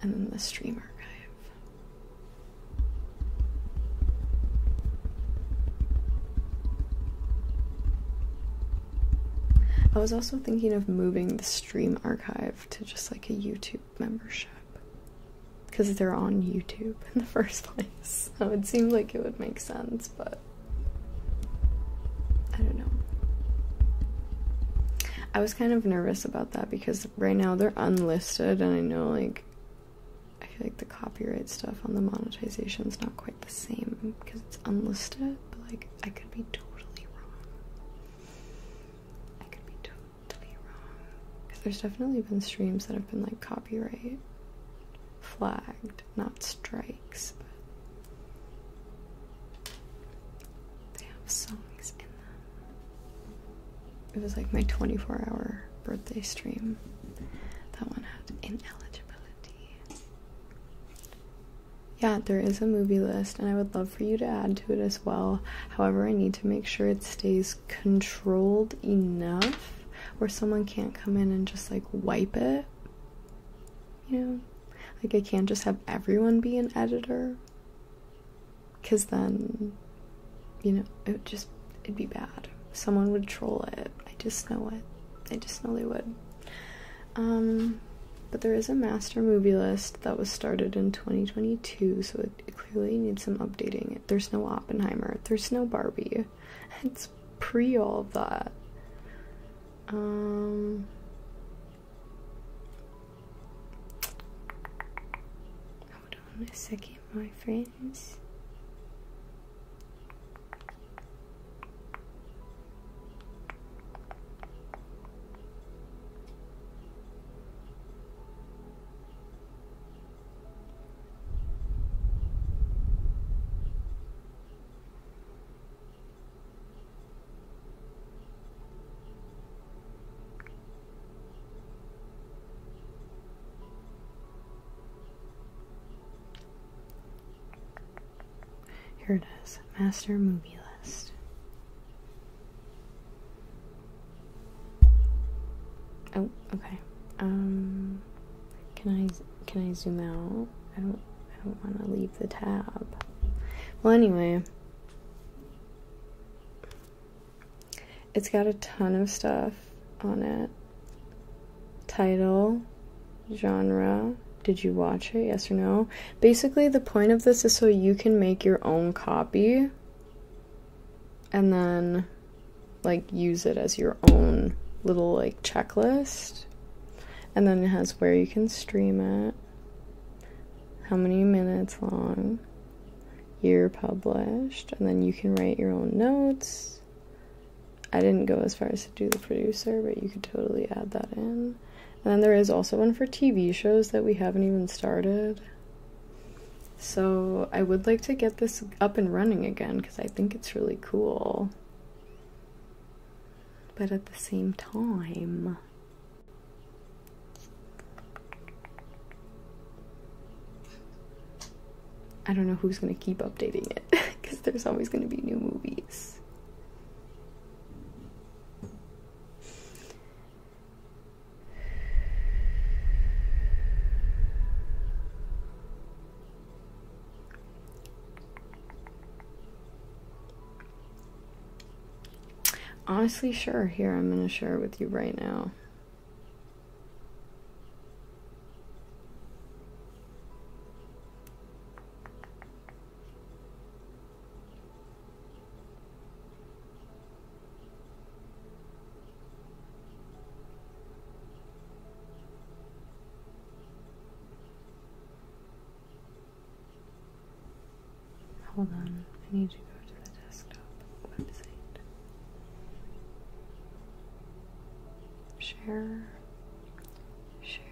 Speaker 2: And then the stream archive. I was also thinking of moving the stream archive to just like a YouTube membership because they're on YouTube in the (laughs) first place. So it seemed like it would make sense, but I don't know. I was kind of nervous about that because right now they're unlisted, and I know like I feel like the copyright stuff on the monetization is not quite the same because it's unlisted, but like I could be totally wrong. I could be totally wrong. Because there's definitely been streams that have been like copyright flagged, not strikes, but they have songs in them. It was like my 24 hour birthday stream. That one had ineligibility yeah, there is a movie list, and I would love for you to add to it as well. However, I need to make sure it stays controlled enough where someone can't come in and just like wipe it. You know, like I can't just have everyone be an editor because then, you know, it would just it'd be bad. Someone would troll it. I just know it. I just know they would. Um, but there is a master movie list that was started in 2022, so it, clearly needs some updating. There's no Oppenheimer, there's no Barbie. It's pre all of that. Um, hold on a second, my friends. Here it is, master movie list. Oh, okay. Um, can I can I zoom out? I don't I don't want to leave the tab. Well, anyway, it's got a ton of stuff on it. Title, genre. Did you watch it? Yes or no? basically the point of this is so you can make your own copy and then like use it as your own little like checklist. And then it has where you can stream it, how many minutes long, year published, and then you can write your own notes. I didn't go as far as to do the producer, but you could totally add that in. And then there is also one for TV shows that we haven't even started. So I would like to get this up and running again because I think it's really cool. But at the same time, I don't know who's going to keep updating it because (laughs) there's always going to be new movies. Honestly, sure. Here, I'm going to share with you right now. Hold on, I need to go to the desktop website. Share, share.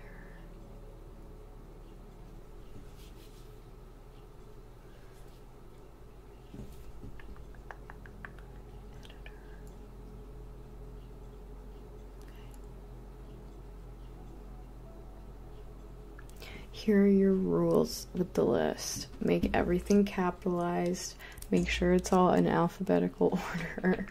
Speaker 2: Here are your rules with the list. Make everything capitalized. Make sure it's all in alphabetical (laughs) order.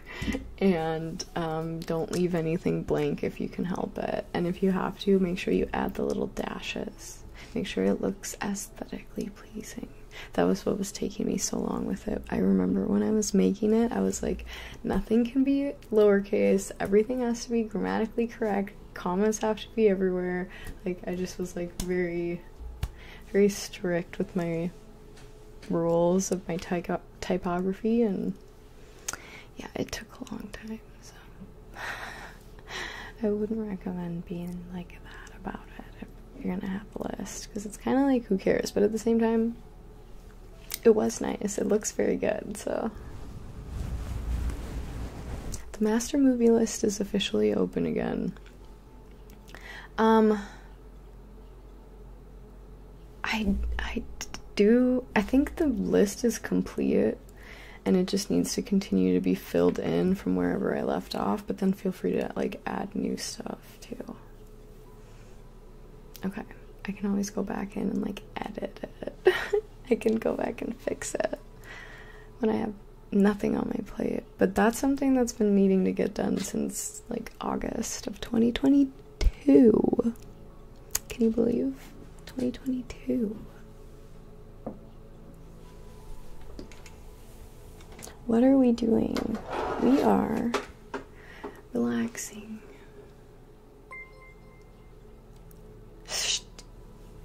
Speaker 2: and um, don't leave anything blank if you can help it. And if you have to, make sure you add the little dashes. Make sure it looks aesthetically pleasing. That was what was taking me so long with it. I remember when I was making it, I was like, nothing can be lowercase, everything has to be grammatically correct, commas have to be everywhere. Like, I just was like very, very strict with my rules of my typography and yeah, it took a long time, so I wouldn't recommend being like that about it if you're gonna have a list because it's kind of like who cares, but at the same time, it was nice, it looks very good, so. The master movie list is officially open again. Um, I I do I think the list is complete and it just needs to continue to be filled in from wherever I left off, but then feel free to like add new stuff too. Okay, I can always go back in and like edit it. (laughs) I can go back and fix it when I have nothing on my plate. But that's something that's been needing to get done since like August of 2022. Can you believe 2022? What are we doing? We are relaxing.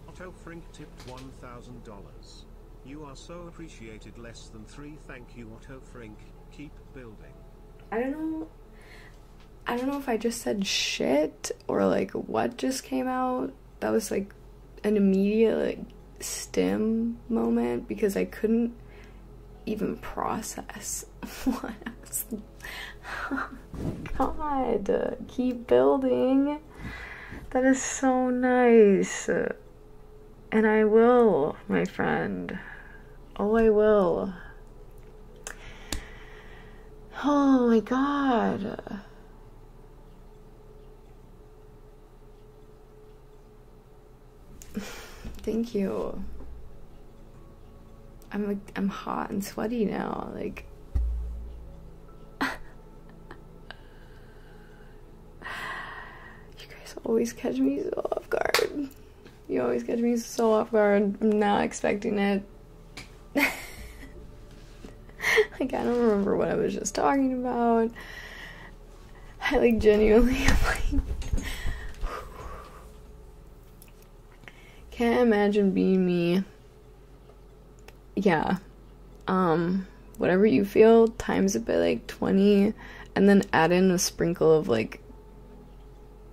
Speaker 2: Otto Frink
Speaker 1: tipped $1,000. You are so appreciated. Less than three. Thank you, Otto Frink. Keep building.
Speaker 2: I don't know. I don't know if I just said shit or like what just came out. That was like an immediate like stem moment because I couldn't even process (laughs) what I was. oh, (laughs) God, keep building. That is so nice. And I will, my friend. Oh, I will. Oh my god. (laughs) Thank you. I'm like I'm hot and sweaty now. Like (laughs) You guys always catch me so off guard. You always catch me so off guard. I'm not expecting it. I can not remember what I was just talking about. I like genuinely am (laughs) like can't imagine being me. Yeah. Um, whatever you feel, times it by like 20, and then add in a sprinkle of like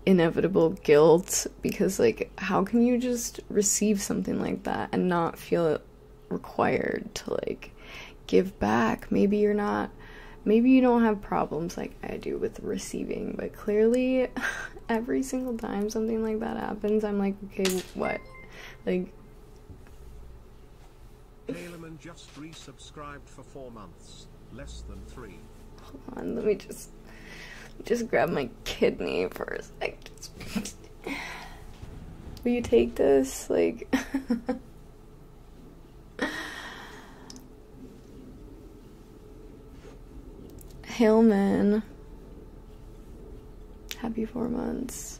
Speaker 2: inevitable guilt because, like, how can you just receive something like that and not feel required to like give back maybe you're not maybe you don't have problems like i do with receiving but clearly (laughs) every single time something like that happens i'm like okay what like
Speaker 1: Aliman just resubscribed for four months, less than three. Hold
Speaker 2: on, let me just just grab my kidney for a sec. Will you take this? Like. (laughs) Hillman. Happy four months.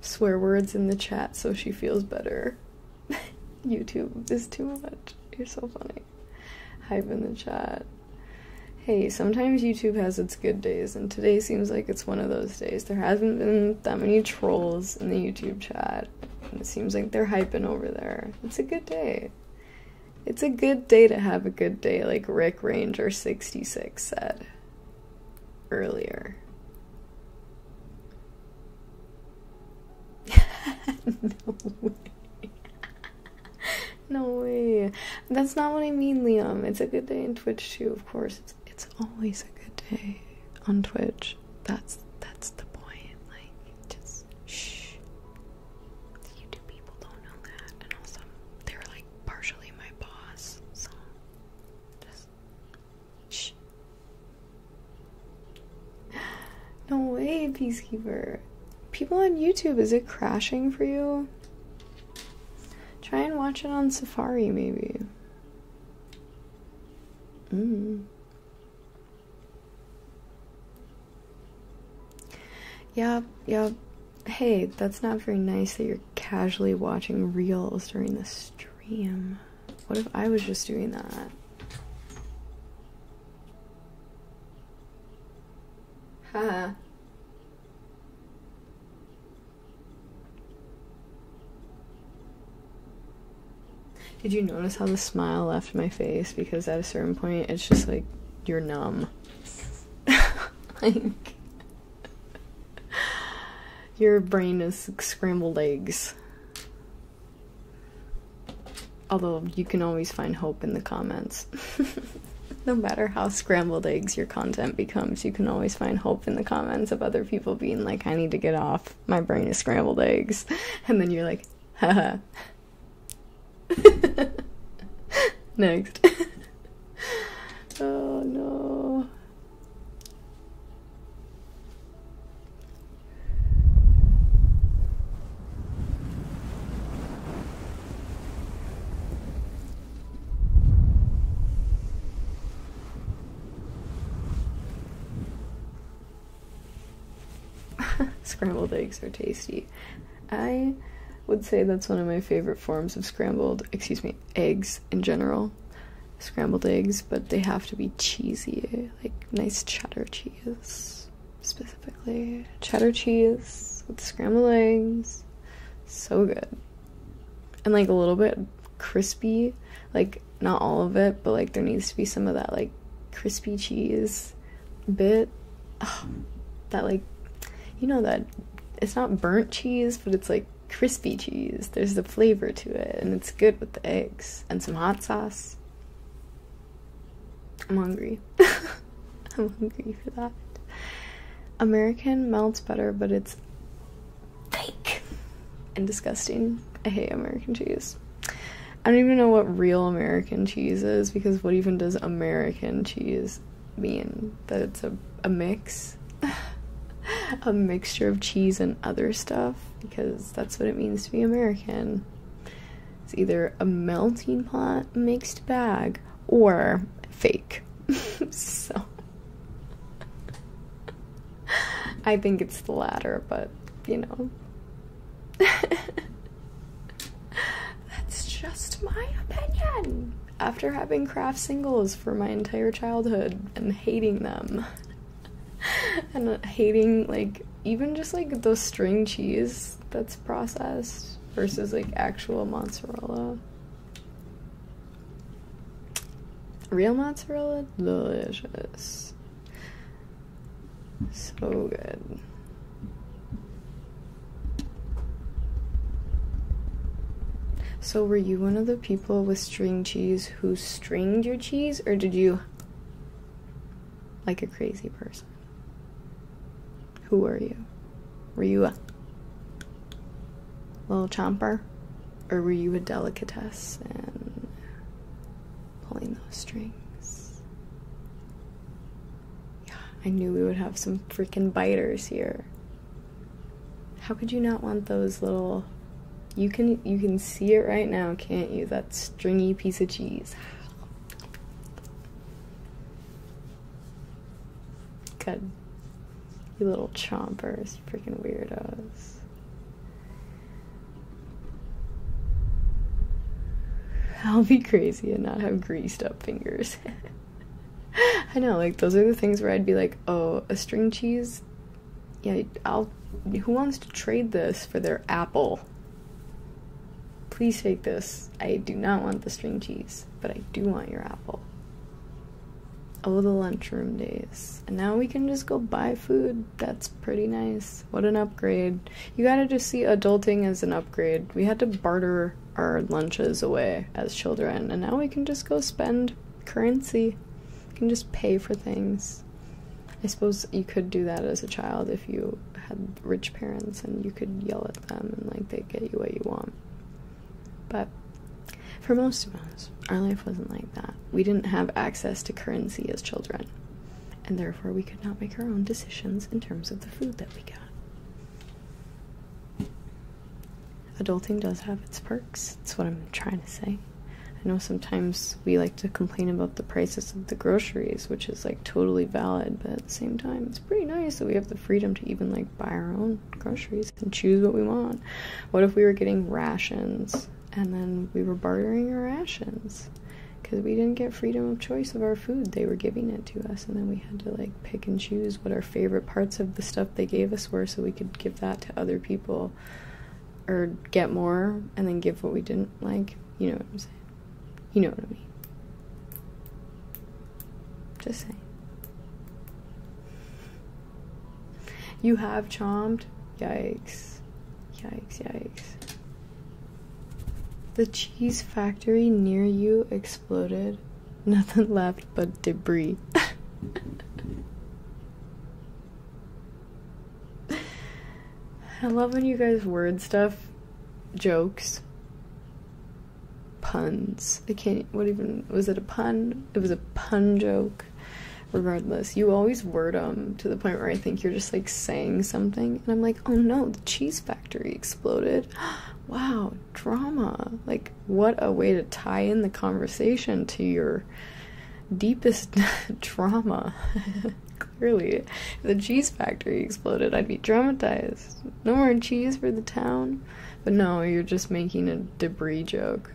Speaker 2: Swear words in the chat so she feels better. (laughs) YouTube is too much. You're so funny. Hype in the chat. Hey, sometimes YouTube has its good days, and today seems like it's one of those days. There hasn't been that many trolls in the YouTube chat, it seems like they're hyping over there. It's a good day. It's a good day to have a good day, like Rick Ranger 66 said earlier. (laughs) no way. (laughs) no way. That's not what I mean, Liam. It's a good day in Twitch too, of course. It's it's always a good day on Twitch. That's that's the point. Like just shh. YouTube people don't know that, and also they're like partially my boss, so just shh. No way, peacekeeper. People on YouTube, is it crashing for you? Try and watch it on Safari, maybe. Yeah, mm. yeah. Hey, that's not very nice that you're casually watching reels during the stream. What if I was just doing that? Haha. (laughs) Did you notice how the smile left my face? Because at a certain point, it's just like you're numb. (laughs) like, (laughs) your brain is scrambled eggs. Although you can always find hope in the comments. (laughs) no matter how scrambled eggs your content becomes, you can always find hope in the comments of other people being like, I need to get off. My brain is scrambled eggs. (laughs) And then you're like, haha. (laughs) Next. oh no. (laughs) scrambled eggs are tasty. I would say that's one of my favorite forms of scrambled, excuse me, eggs in general. Scrambled eggs, but they have to be cheesy, like nice cheddar cheese specifically. Cheddar cheese with scrambled eggs. So good. And like a little bit crispy. Like not all of it, but like there needs to be some of that like crispy cheese bit. that like you know that it's not burnt cheese, but it's like crispy cheese. There's the flavor to it and it's good with the eggs and some hot sauce. I'm hungry. (laughs) I'm hungry for that. American melts better, but it's fake and disgusting. I hate American cheese. I don't even know what real American cheese is because what even does American cheese mean? That it's a, a mix? (sighs) a mixture of cheese and other stuff? Because that's what it means to be American. It's either a melting pot mixed bag or fake. (laughs) so (laughs) I think it's the latter, but you know. (laughs) That's just my opinion. After having craft singles for my entire childhood and hating them, and hating like even just like the string cheese that's processed versus like actual mozzarella. Real mozzarella, delicious. So good. So, were you one of the people with string cheese who stringed your cheese, or did you, like a crazy person? Who are you? Were you a little chomper? Or were you a delicatess and pulling those strings? Yeah, I knew we would have some freaking biters here. How could you not want those little you can you can see it right now, can't you? That stringy piece of cheese. Good. You little chompers, you freaking weirdos. I'll be crazy and not have greased up fingers. (laughs) I know, like, those are the things where I'd be like, oh, a string cheese? Yeah, I'll. Who wants to trade this for their apple? Please take this. I do not want the string cheese, but I do want your apple. Oh, the lunchroom days. And now we can just go buy food. That's pretty nice. What an upgrade. You gotta just see adulting as an upgrade. We had to barter our lunches away as children, and now we can just go spend currency. We can just pay for things. I suppose you could do that as a child if you had rich parents and you could yell at them and like they'd get you what you want. But for most of us, our life wasn't like that. We didn't have access to currency as children, and therefore we could not make our own decisions in terms of the food that we got. Adulting does have its perks, that's what I'm trying to say. I know sometimes we like to complain about the prices of the groceries, which is like totally valid, but at the same time, it's pretty nice that we have the freedom to even like buy our own groceries and choose what we want. What if we were getting rations and then we were bartering our rations? Because we didn't get freedom of choice of our food. They were giving it to us, and then we had to like pick and choose what our favorite parts of the stuff they gave us were so we could give that to other people or get more and then give what we didn't like. You know You know what I mean. Just saying. You have charmed? Yikes. Yikes, yikes. The cheese factory near you exploded. (laughs) Nothing left but debris. (laughs) I love when you guys word stuff jokes puns. I can't, what even, was it a pun? It was a pun joke. Regardless, you always word them to the point where I think you're just like saying something, and I'm like, oh no, the cheese factory exploded. (gasps) wow, drama. Like, what a way to tie in the conversation to your deepest (laughs) drama. (laughs) Clearly, if the cheese factory exploded, I'd be dramatized no more cheese for the town. But no, you're just making a debris joke.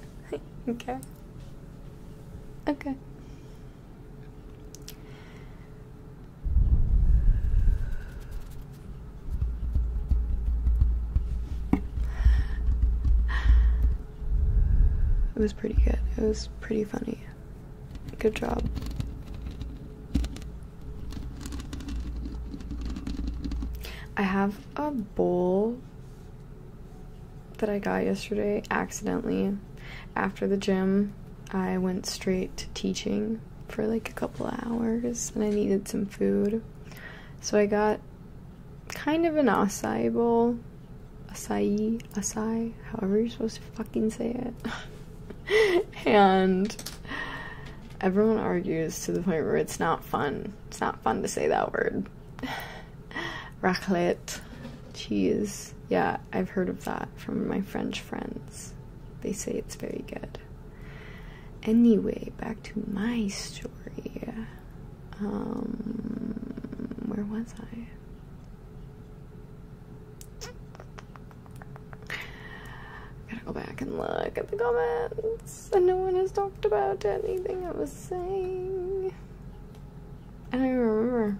Speaker 2: (laughs) okay. Okay. It was pretty good. It was pretty funny. Good job. I have a bowl that I got yesterday accidentally. After the gym, I went straight to teaching for like a couple hours and I needed some food. So I got kind of an acai bowl. Acai, acai, however you're supposed to fucking say it. (laughs) and everyone argues to the point where it's not fun. It's not fun to say that word. (sighs) Raclette. Cheese. Yeah, I've heard of that from my French friends. They say it's very good. Anyway, back to my story. Um, where was I? I gotta go back and look at the comments, and no one has talked about anything I was saying. I don't even remember.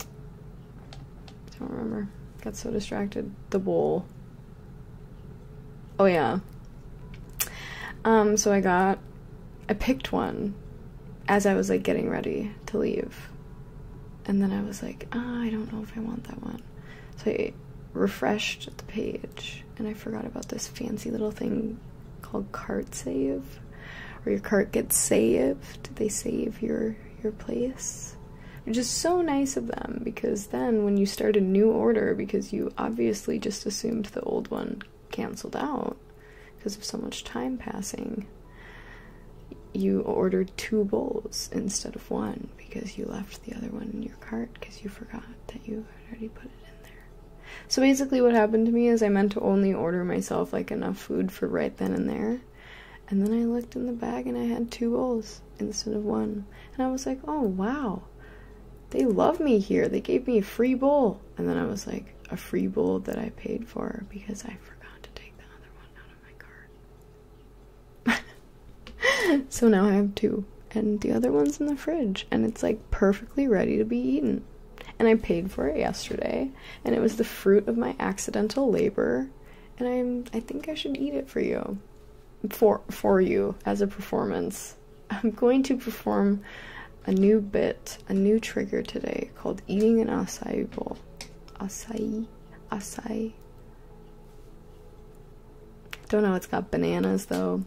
Speaker 2: I don't remember. Got so distracted. The bowl. Oh yeah. Um, so I got, I picked one as I was like getting ready to leave. And then I was like, ah, I don't know if I want that one. So I refreshed the page and I forgot about this fancy little thing called cart save. where your cart gets saved. They save your your place. Which is so nice of them because then when you start a new order because you obviously just assumed the old one canceled out because of so much time passing you ordered two bowls instead of one because you left the other one in your cart because you forgot that you had already put it in there. So basically what happened to me is I meant to only order myself like enough food for right then and there. And then I looked in the bag and I had two bowls instead of one. And I was like, "Oh wow. They love me here. They gave me a free bowl." And then I was like, "A free bowl that I paid for because I forgot to take the other one out my cart. (laughs) so now I have two, and the other one's in the fridge, and it's like perfectly ready to be eaten. And I paid for it yesterday, and it was the fruit of my accidental labor, and I'm I think I should eat it for you. For for you as a performance. I'm going to perform a new bit, a new trigger today called eating an acai bowl. asai. acai, don't know, it's got bananas though.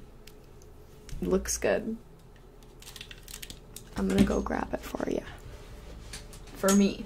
Speaker 2: looks good. I'm gonna go grab it for you. For me.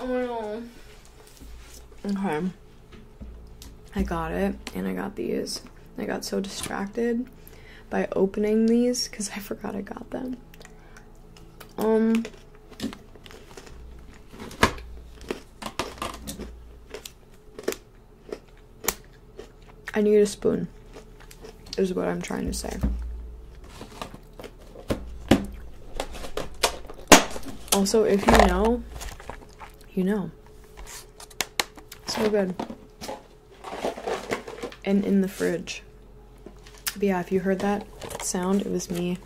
Speaker 2: Oh no. Okay. I got it and I got these. I got so distracted by opening these because I forgot I got them. Um. I need a spoon, is what I'm trying to say. Also, if you know, you know. So good. And in the fridge. yeah, if you heard that sound, it was me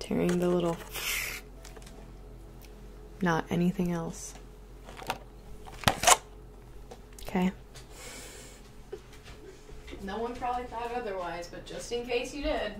Speaker 2: tearing the little. Not anything else. Okay. No one probably thought otherwise, but just in case you did.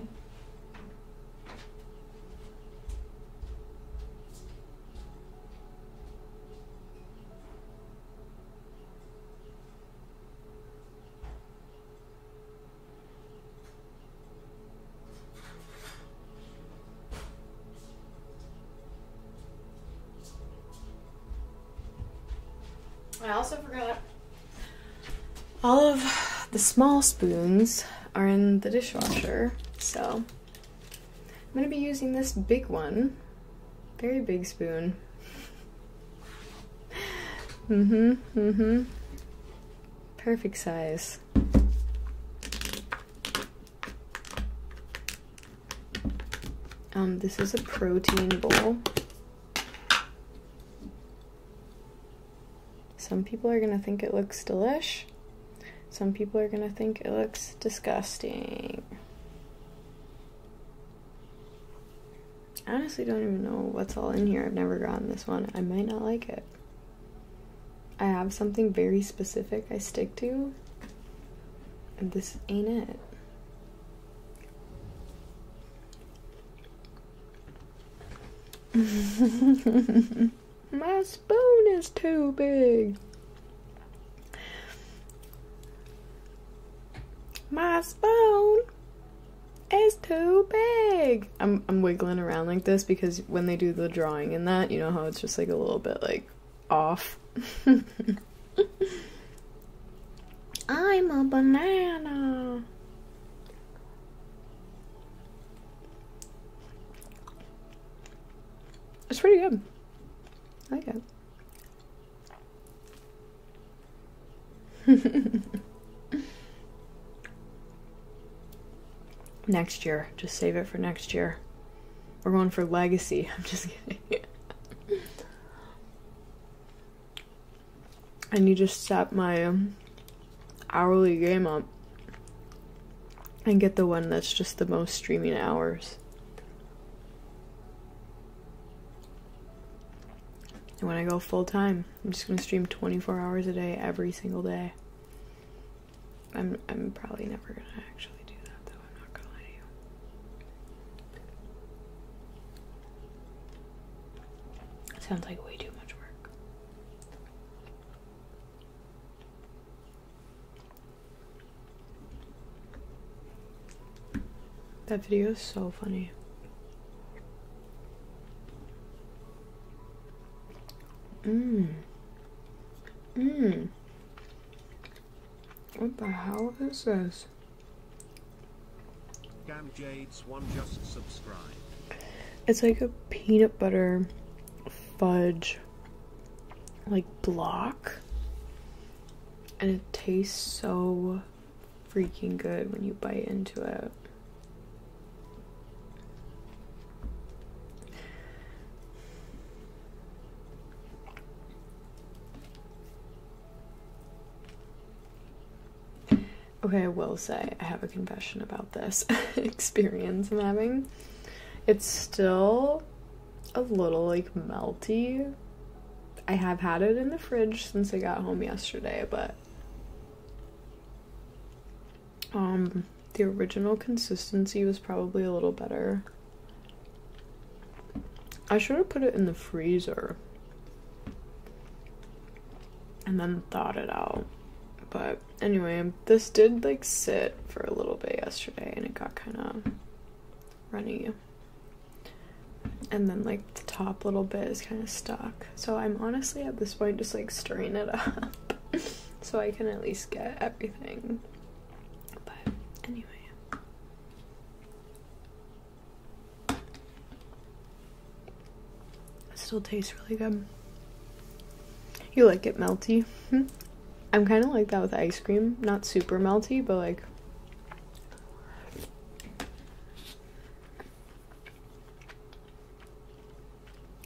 Speaker 2: I also forgot all of the small spoons are in the dishwasher, so I'm gonna be using this big one, very big spoon. (laughs) hmm hmm Perfect size. Um, this is a protein bowl. Some people are gonna think it looks delish. Some people are gonna think it looks disgusting. I honestly don't even know what's all in here. I've never gotten this one. I might not like it. I have something very specific I stick to, and this ain't it. (laughs) My spoon is too big. My spoon is too big. I'm I'm wiggling around like this because when they do the drawing and that, you know how it's just like a little bit like off. (laughs) I'm a banana. It's pretty good. I like it. (laughs) next year. Just save it for next year. We're going for legacy. (laughs) I'm just kidding. I need to step my um, hourly game up and get the one that's just the most streaming hours. And when I go full time, I'm just gonna stream 24 hours a day every single day. I'm I'm probably never gonna actually do that though. I'm not gonna lie to you. Sounds like way too much work. That video is so funny. Mmm. Mmm. What the hell is this? It's like a peanut butter fudge like block and it tastes so freaking good when you bite into it. Okay, I will say I have a confession about this (laughs) experience I'm having. It's still a little like melty. I have had it in the fridge since I got home yesterday, but um, the original consistency was probably a little better. I should have put it in the freezer and then thought it out. But anyway, this did like sit for a little bit yesterday and it got kind of runny. And then like the top little bit is kind of stuck. So I'm honestly at this point just like stirring it (laughs) up so I can at least get everything. But anyway. It still tastes really good. You like it melty. Hmm? I'm kind of like that with ice cream. Not super melty, but like.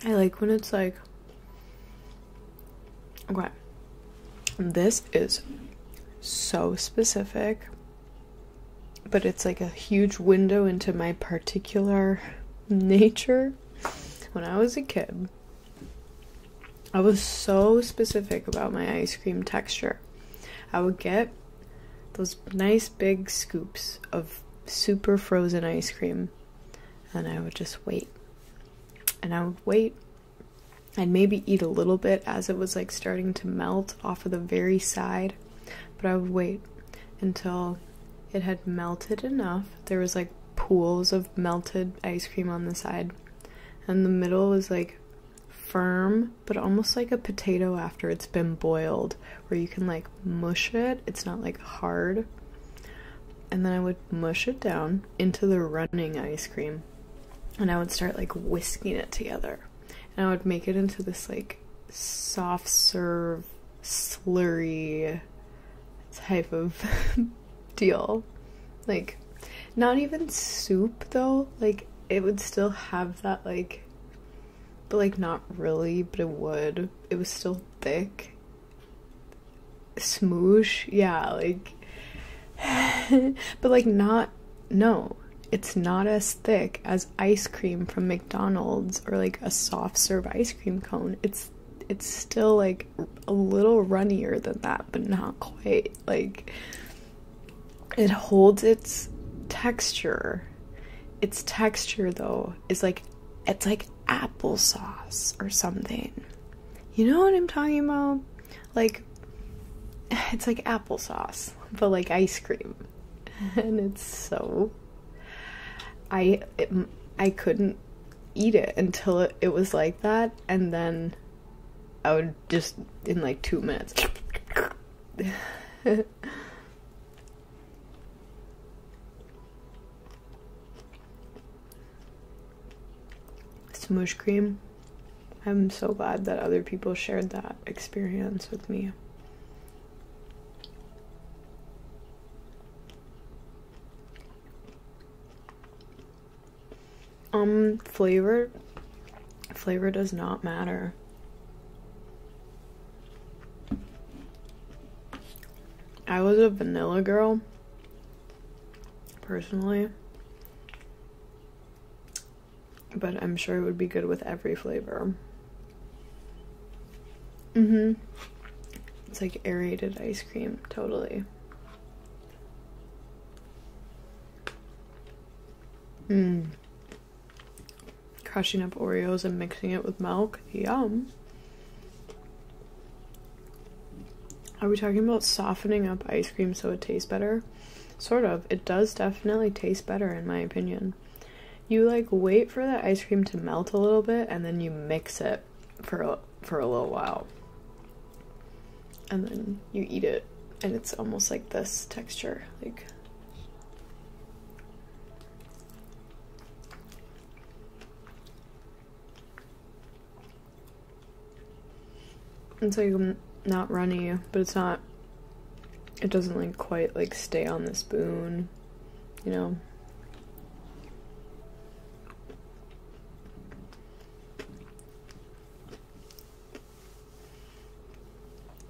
Speaker 2: I like when it's like. Okay. This is so specific but it's like a huge window into my particular nature. When I was a kid, I was so specific about my ice cream texture. I would get those nice big scoops of super frozen ice cream and I would just wait. And I would wait. I'd maybe eat a little bit as it was like starting to melt off of the very side but I would wait until it had melted enough. There was like pools of melted ice cream on the side, and the middle was like firm, but almost like a potato after it's been boiled, where you can like mush it. It's not like hard. And then I would mush it down into the running ice cream, and I would start like whisking it together and I would make it into this like soft serve slurry type of (laughs) deal. Like not even soup though. Like it would still have that like but like not really, but it would. It was still thick. smooch. yeah, like (laughs) but like not no. It's not as thick as ice cream from McDonald's or like a soft serve ice cream cone, it's it's still like a little runnier than that, but not quite. Like it holds its texture. Its texture though is like it's like applesauce or something. You know what I'm talking about? Like (sighs) it's like applesauce, but like ice cream. (laughs) and it's so I I couldn't eat it until it, it was like that and then I would just in like 2 minutes (laughs) Smoosh cream. I'm so glad that other people shared that experience with me. Um, flavor, flavor does not matter. I was a vanilla girl, personally. But I'm sure it would be good with every flavor. Mm-hmm. It's like aerated ice cream, totally. Mmm. Crushing up Oreos and mixing it with milk. Yum. Are we talking about softening up ice cream so it tastes better? Sort of. It does definitely taste better, in my opinion. You like wait for the ice cream to melt a little bit and then you mix it for for a little while. And then you eat it and it's almost like this texture, like It's like not runny, but it's not it doesn't like quite like stay on the spoon you know.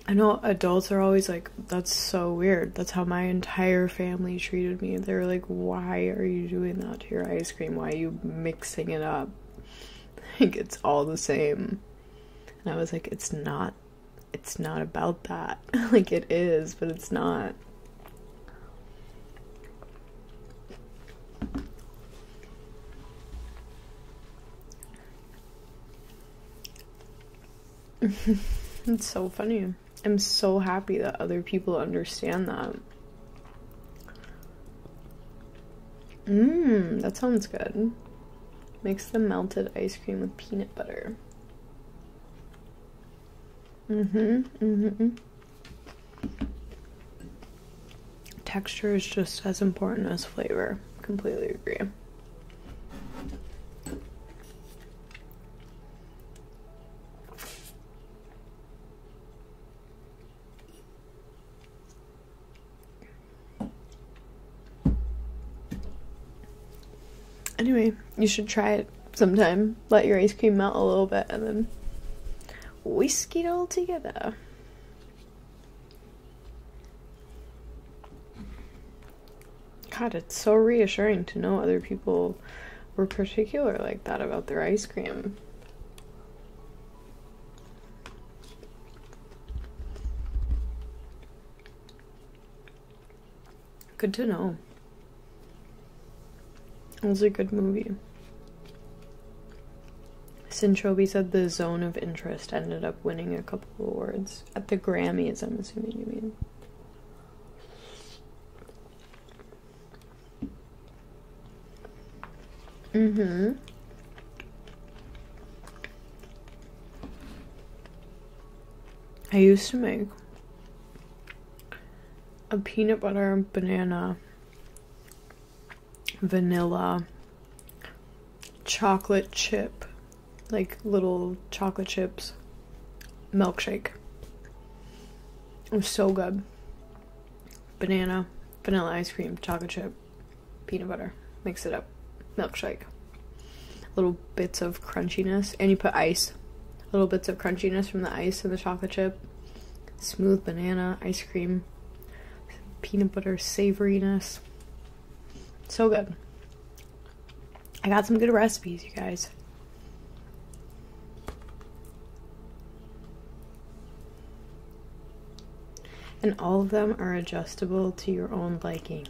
Speaker 2: I know adults are always like, that's so weird. That's how my entire family treated me. They were like, why are you doing that to your ice cream? Why are you mixing it up? (laughs) Like, it's all the same. And I was like, it's not it's not about that. (laughs) like it is, but it's not. (laughs) it's so funny. I'm so happy that other people understand that. Mmm, that sounds good. Mix the melted ice cream with peanut butter hmm hmm Texture is just as important as flavor. Completely agree. Anyway, you should try it sometime. Let your ice cream melt a little bit and then whisk it all together. God, it's so reassuring to know other people were particular like that about their ice cream. Good to know. It was a good movie. Sinchobi said the zone of interest ended up winning a couple awards at the Grammys, I'm assuming you mean. Mm-hmm. I used to make a peanut butter banana vanilla chocolate chip like little chocolate chips milkshake it so good banana vanilla ice cream chocolate chip peanut butter mix it up milkshake little bits of crunchiness, and you put ice, little bits of crunchiness from the ice and the chocolate chip, smooth banana ice cream, peanut butter savoriness. So good. I got some good recipes, you guys. And all of them are adjustable to your own liking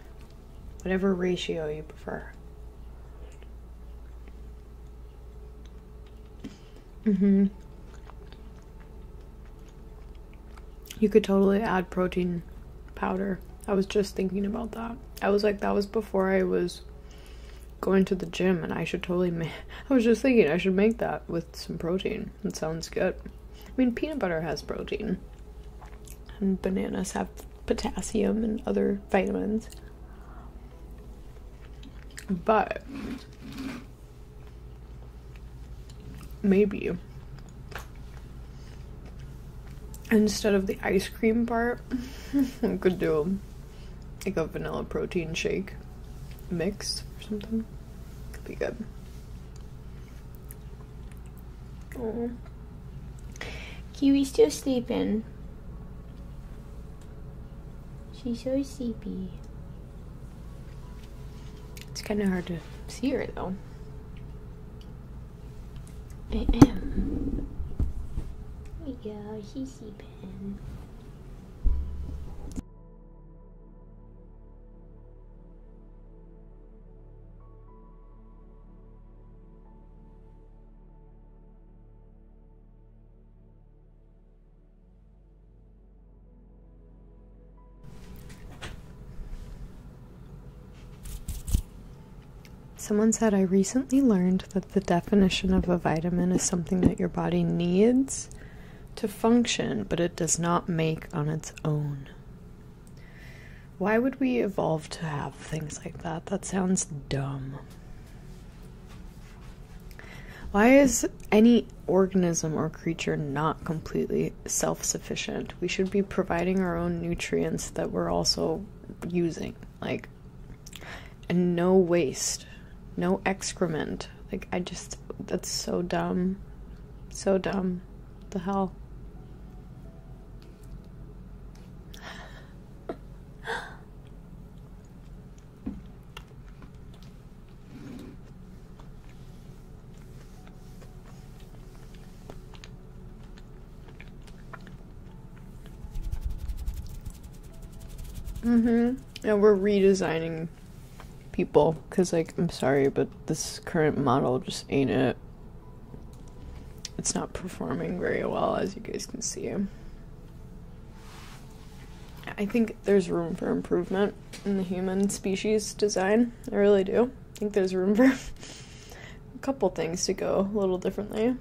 Speaker 2: whatever ratio you prefer. hmm You could totally add protein powder. I was just thinking about that. I was like, that was before I was going to the gym, and I should totally (laughs) I was just thinking I should make that with some protein. It sounds good. I mean, peanut butter has protein, and bananas have potassium and other vitamins. But maybe instead of the ice cream part, (laughs) I could do like a vanilla protein shake mix or something. Could be good. Oh. Kiwi's still sleeping. She's so sleepy. It's kind of hard to see her though. there we go, she's sleeping. Someone said, I recently learned that the definition of a vitamin is something that your body needs to function, but it does not make on its own. Why would we evolve to have things like that? That sounds dumb. Why is any organism or creature not completely self sufficient? We should be providing our own nutrients that we're also using, like, and no waste, no excrement. Like, I just, that's so dumb. So dumb. The hell? Mm-hmm. And we're redesigning people because, like, I'm sorry, but this current model just ain't it. It's not performing very well, as you guys can see. I think there's room for improvement in the human species design. I really do. I think there's room for (laughs) a couple things to go a little differently.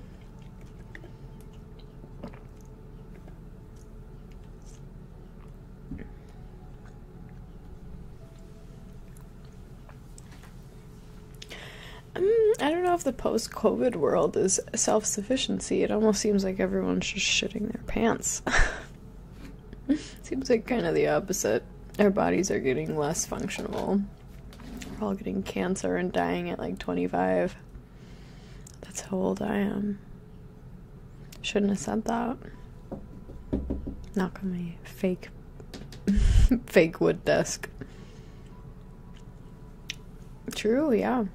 Speaker 2: Mm, I don't know if the post COVID world is self sufficiency. It almost seems like everyone's just shitting their pants. (laughs) seems like kind of the opposite. Our bodies are getting less functional. We're all getting cancer and dying at like 25. That's how old I am. Shouldn't have said that. Knock on my fake, (laughs) fake wood desk. True, yeah.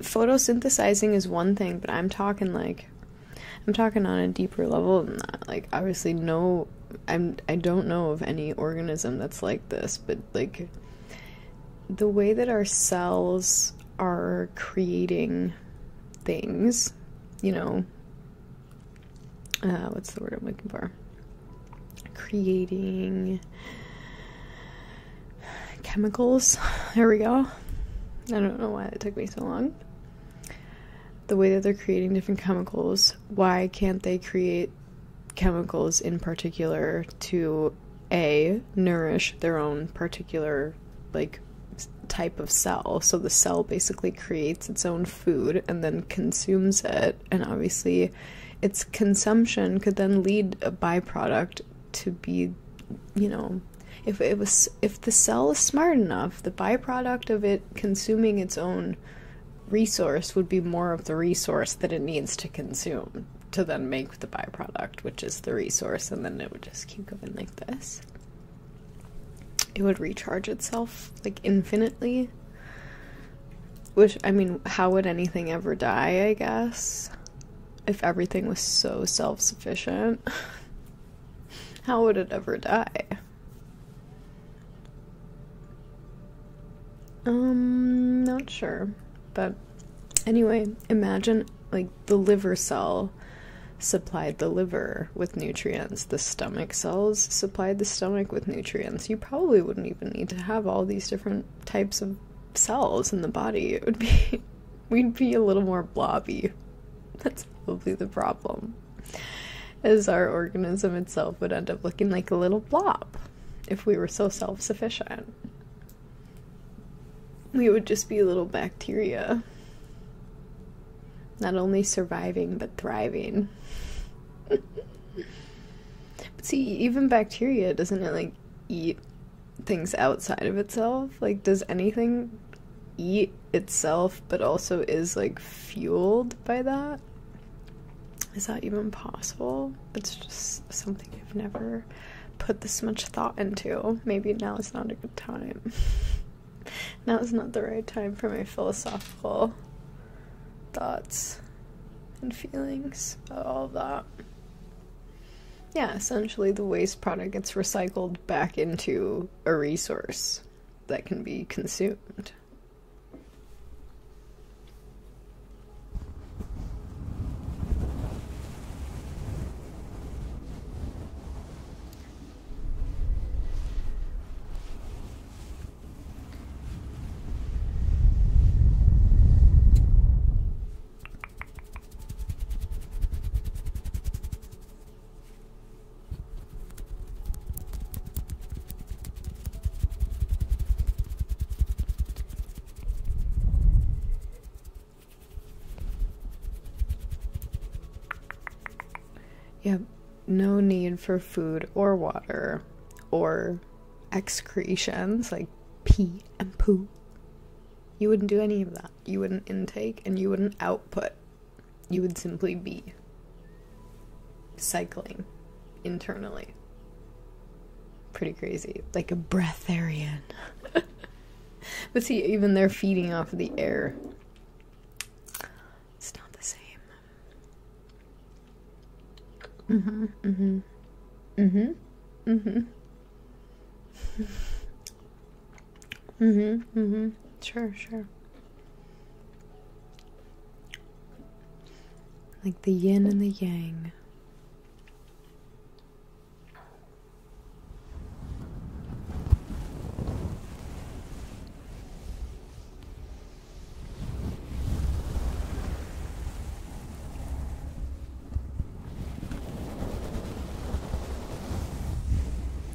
Speaker 2: photosynthesizing is one thing, but I'm talking like I'm talking on a deeper level than that. Like obviously no I'm I don't know of any organism that's like this, but like the way that our cells are creating things, you know, uh, what's the word I'm looking for? creating chemicals. (sighs) There we go. I don't know why it took me so long. The way that they're creating different chemicals, why can't they create chemicals in particular to a nourish their own particular like type of cell? So the cell basically creates its own food and then consumes it and obviously, its consumption could then lead a byproduct to be, you know, if it was if the cell is smart enough, the byproduct of it consuming its own resource would be more of the resource that it needs to consume to then make the byproduct, which is the resource, and then it would just keep going like this. It would recharge itself like infinitely which, I mean, how would anything ever die, I guess? If everything was so self sufficient, (laughs) how would it ever die? Um, not sure. But anyway, imagine like the liver cell supplied the liver with nutrients, the stomach cells supplied the stomach with nutrients. You probably wouldn't even need to have all these different types of cells in the body, it would be (laughs) we'd be a little more blobby. That's probably the problem. As our organism itself would end up looking like a little blob if we were so self sufficient. We would just be little bacteria. Not only surviving, but thriving. (laughs) But see, even bacteria doesn't it like eat things outside of itself? Like, does anything eat itself but also is like fueled by that? Is that even possible? It's just something I've never put this much thought into. Maybe now is not a good time. (laughs) now is not the right time for my philosophical thoughts and feelings, all that. Yeah, essentially the waste product gets recycled back into a resource that can be consumed. Yep, no need for food or water or excretions. Like, P and poo. You wouldn't do any of that. You wouldn't intake and you wouldn't output. You would simply be cycling internally. Pretty crazy. Like a breatharian. (laughs) but see, even they're feeding off the air. It's not the same. Mm-hmm. Mm-hmm. Mm-hmm. Mm-hmm. Mm-hmm. Mm-hmm. Sure, sure. Like the yin and the yang.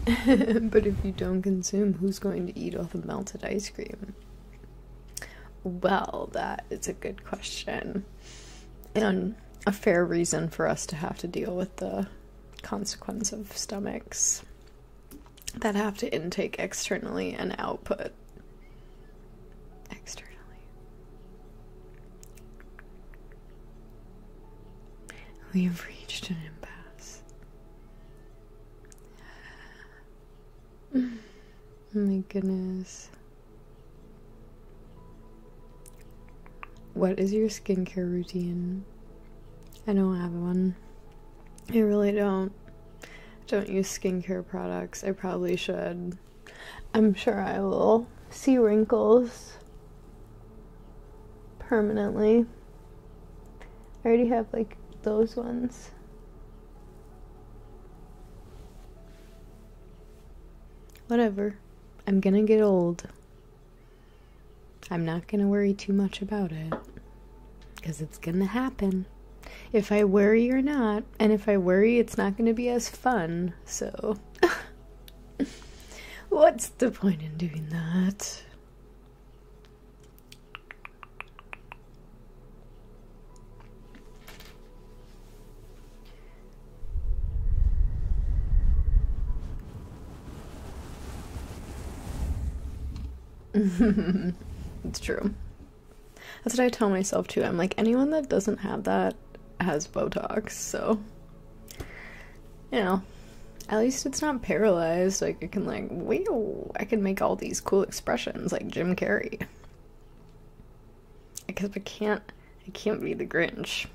Speaker 2: (laughs) but if you don't consume, who's going to eat all the melted ice cream? Well, that is a good question. And a fair reason for us to have to deal with the consequence of stomachs that have to intake externally and output externally. We have reached an impasse. (sighs) my goodness. What is your skincare routine? I don't have one. I really don't. don't use skincare products. I probably should. I'm sure I will see wrinkles permanently. I already have like those ones. Whatever. I'm gonna get old. I'm not gonna worry too much about it. Because it's gonna happen. If I worry or not, and if I worry, it's not going to be as fun, so. (laughs) What's the point in doing that? (laughs) it's true. That's what I tell myself too. I'm like, anyone that doesn't have that has Botox, so you know. At least it's not paralyzed. Like I can like, wow, I can make all these cool expressions like Jim Carrey. I guess I can't I can't be the Grinch.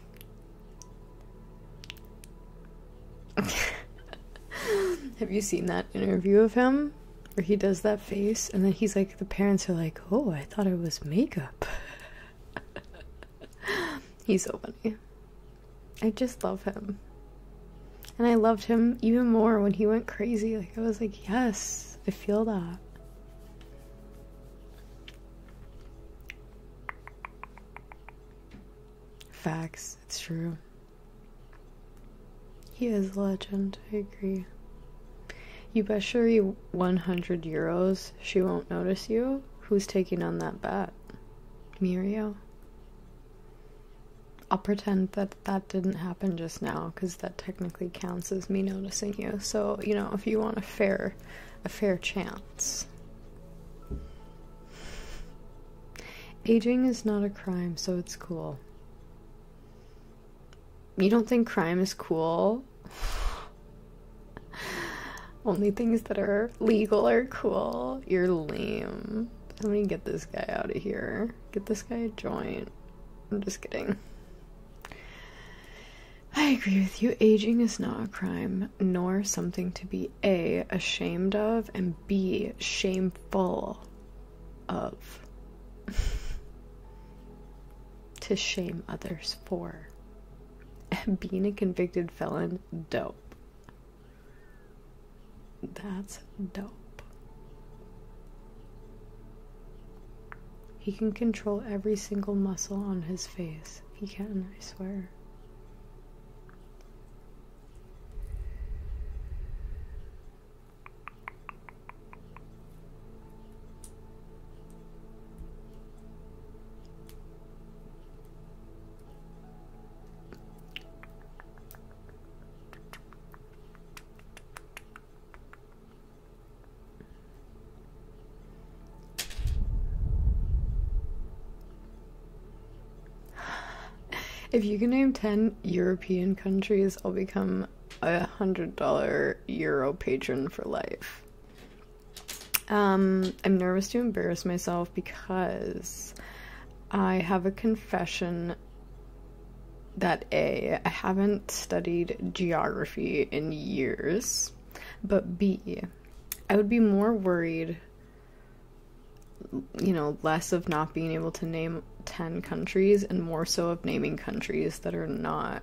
Speaker 2: (laughs) Have you seen that interview of him? Where he does that face, and then he's like, the parents are like, oh, I thought it was makeup. (laughs) he's so funny. I just love him. And I loved him even more when he went crazy. Like, I was like, yes, I feel that. Facts, it's true. He is a legend. I agree. You bet Sherry 100 euros she won't notice you. Who's taking on that bet? Mirio? I'll pretend that that didn't happen just now because that technically counts as me noticing you. So, you know, if you want a fair, a fair chance. Aging is not a crime, so it's cool. You don't think crime is cool? (sighs) Only things that are legal are cool. You're lame. Let me get this guy out of here. Get this guy a joint. I'm just kidding. I agree with you. Aging is not a crime, nor something to be A, ashamed of, and B, shameful of. (laughs) to shame others for. Being a convicted felon, dope. That's dope. He can control every single muscle on his face. He can, I swear. If you can name 10 European countries, I'll become a $100 Euro patron for life. Um, I'm nervous to embarrass myself because I have a confession that A, I haven't studied geography in years, but B, I would be more worried, you know, less of not being able to name 10 countries and more so of naming countries that are not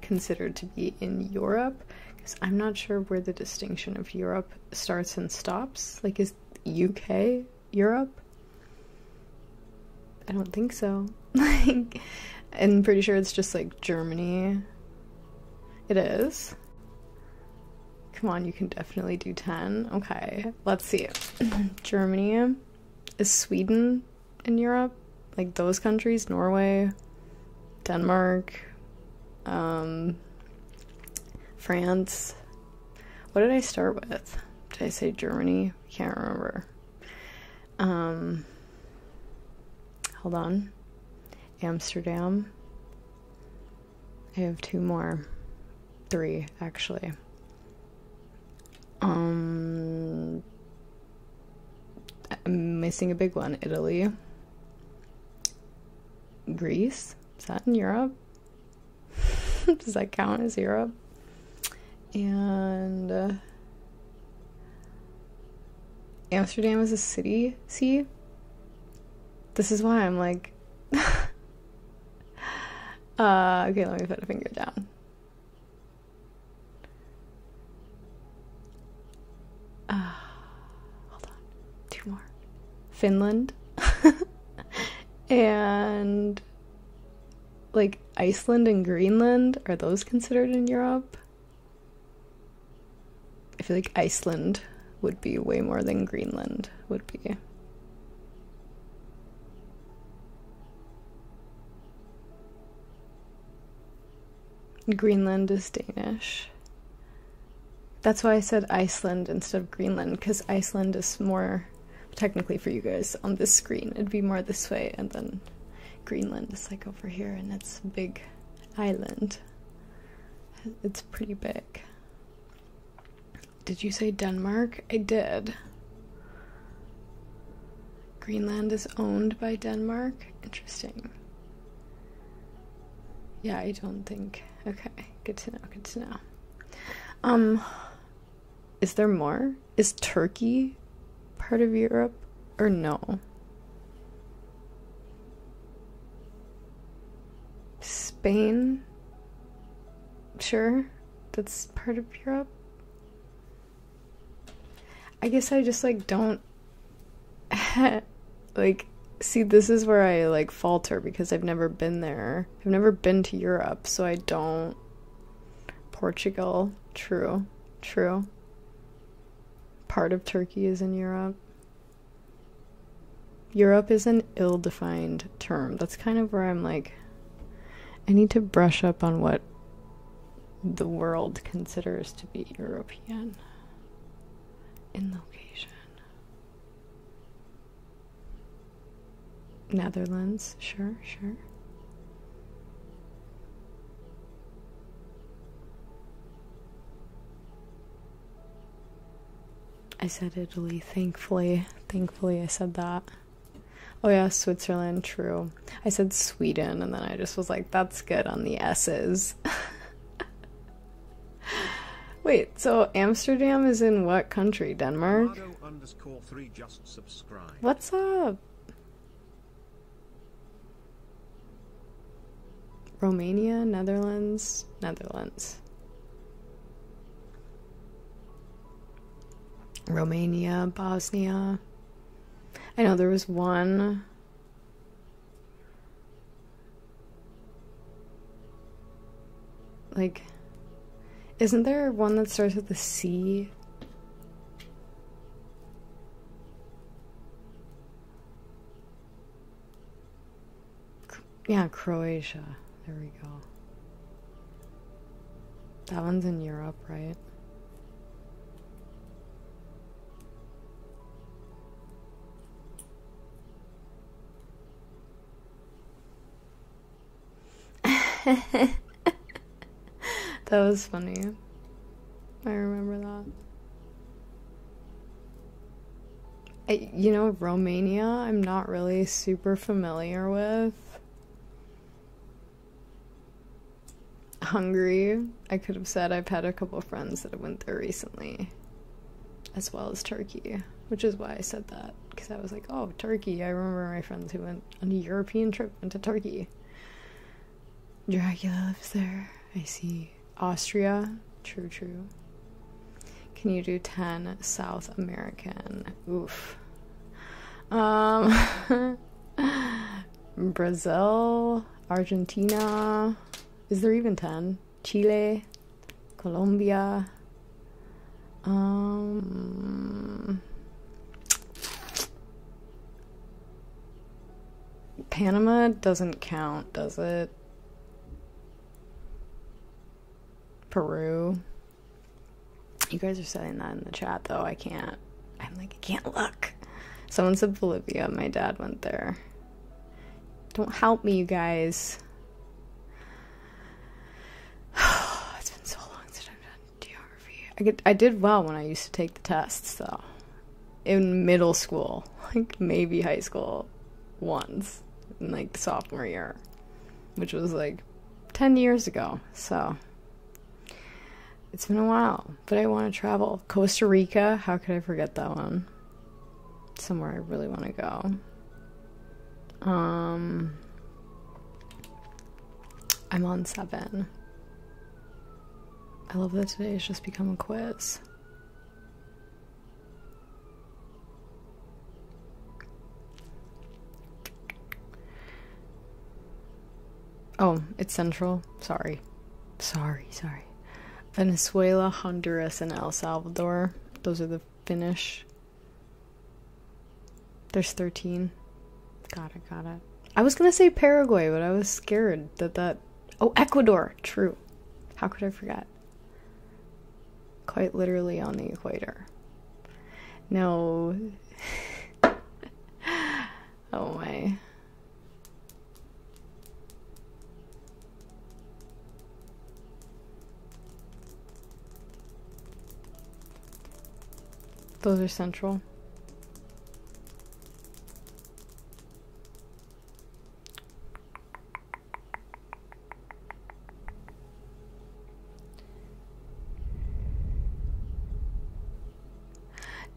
Speaker 2: considered to be in Europe because I'm not sure where the distinction of Europe starts and stops. Like, is UK Europe? I don't think so. (laughs) Like, I'm pretty sure it's just like Germany. It is. Come on, you can definitely do 10. Okay, let's see. (clears throat) Germany. Is Sweden in Europe, like those countries, Norway, Denmark, um, France. What did I start with? Did I say Germany? can't remember. Um, hold on. Amsterdam. I have two more. Three, actually. Um, I'm missing a big one. Italy. Greece. Is that in Europe? (laughs) Does that count as Europe? And uh, Amsterdam is a city. See? This is why I'm like. (laughs) Uh, okay, let me put a finger down. Ah, hold on. Two more. Finland. (laughs) and like Iceland and Greenland, are those considered in Europe? I feel like Iceland would be way more than Greenland would be. Greenland is Danish. That's why I said Iceland instead of Greenland, because Iceland is more technically for you guys on this screen. It'd be more this way, and then Greenland is like over here, and it's a big island. It's pretty big. Did you say Denmark? I did. Greenland is owned by Denmark. Interesting. Yeah, I don't think. Okay, good to know. Good to know. Um, is there more? Is Turkey part of Europe or no? Spain? Sure, that's part of Europe. I guess I just like don't (laughs) like see this is where I like falter because I've never been there. I've never been to Europe, so I don't Portugal, true. True. Part of Turkey is in Europe. Europe is an ill-defined term. That's kind of where I'm like I need to brush up on what the world considers to be European in location. Netherlands, sure, sure. I said Italy, thankfully. Thankfully, I said that. Oh, yeah, Switzerland, true. I said Sweden, and then I just was like, that's good on the S's. (laughs) Wait, so Amsterdam is in what country? Denmark? What's up? Romania, Netherlands, Netherlands. Romania, Bosnia. I know there was one like, isn't there one that starts with the C? Yeah, Croatia. There we go. That one's in Europe, right? (laughs) that was funny. I remember that. you know, Romania, I'm not really super familiar with. Hungry. I could have said I've had a couple friends that went there recently, as well as Turkey, which is why I said that because I was like, oh, Turkey. I remember my friends who went on a European trip into Turkey. Dracula lives there. I see. Austria. True, true. Can you do 10 South American? Oof. Um, (laughs) Brazil. Argentina. Is there even 10? Chile, Colombia. Um, Panama doesn't count, does it? Peru. You guys are saying that in the chat, though. I can't. I'm like, I can't look. Someone said Bolivia. My dad went there. Don't help me, you guys. (sighs) it's been so long since I've done geography. I, did well when I used to take the tests, though. In middle school, (laughs) like maybe high school, once, in like sophomore year, which was like 10 years ago, so it's been a while, but I want to travel Costa Rica, how could I forget that one? Somewhere I really want to go. Um, I'm on seven. I love that today has just become a quiz. Oh, it's Central. Sorry. Sorry, sorry. Venezuela, Honduras, and El Salvador. Those are the finish. There's 13. Got it, got it. I was gonna say Paraguay, but I was scared that that. Oh, Ecuador! True. How could I forget? Quite literally on the equator. No. (laughs) oh my. Those are central.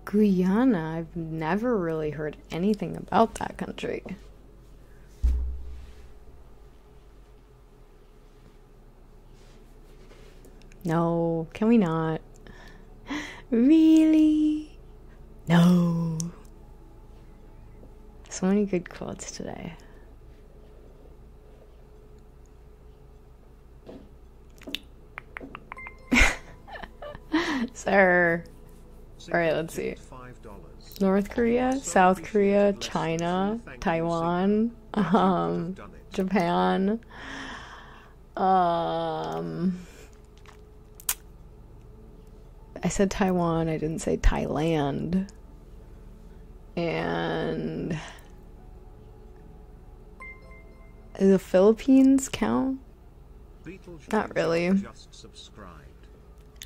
Speaker 2: Guyana, I've never really heard anything about that country. No, can we not? (laughs) Really? No. So many good quotes today. (laughs) Sir. Alright, let's see. North Korea, South Korea, China, Taiwan, um, Japan, um, I said Taiwan, I didn't say Thailand, and the Philippines count? Not really.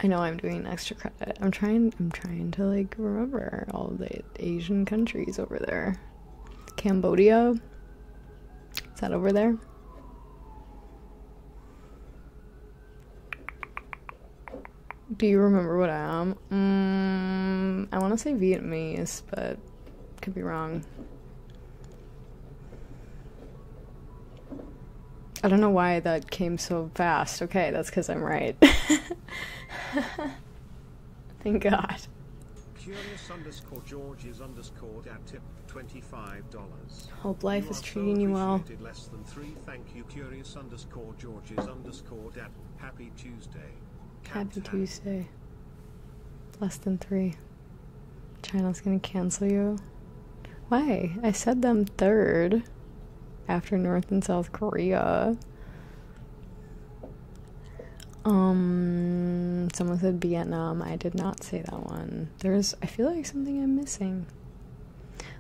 Speaker 2: I know I'm doing extra credit. I'm trying I'm trying to like remember all the Asian countries over there. Cambodia? Is that over there? Do you remember what I am? Mm, I want to say Vietnamese, but could be wrong. I don't know why that came so fast. Okay, that's because I'm right. (laughs) Thank God.
Speaker 1: Curious underscore George is underscore Hope life is treating you well. happy Tuesday.
Speaker 2: happy Tuesday. Less than three. China's gonna cancel you. Why? I said them third after North and South Korea. Um, someone said Vietnam. I did not say that one. There's, I feel like something I'm missing.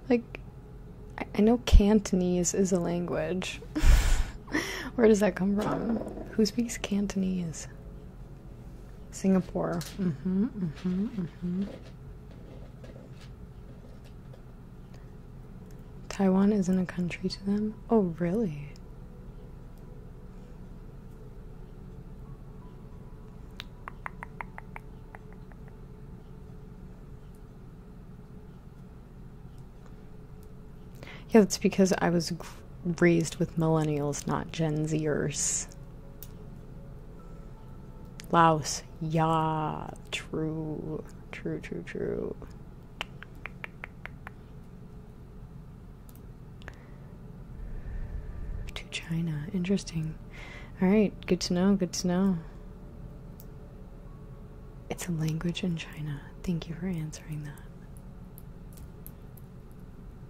Speaker 2: Like, I, know Cantonese is a language. (laughs) Where does that come from? Who speaks Cantonese? Singapore. Mm-hmm, mm-hmm, mm-hmm. Taiwan isn't a country to them? Oh, really? Yeah, that's because I was raised with millennials, not Gen Zers. Laos, yeah, true, true, true, true. To China, interesting. All right, good to know, good to know. It's a language in China. Thank you for answering that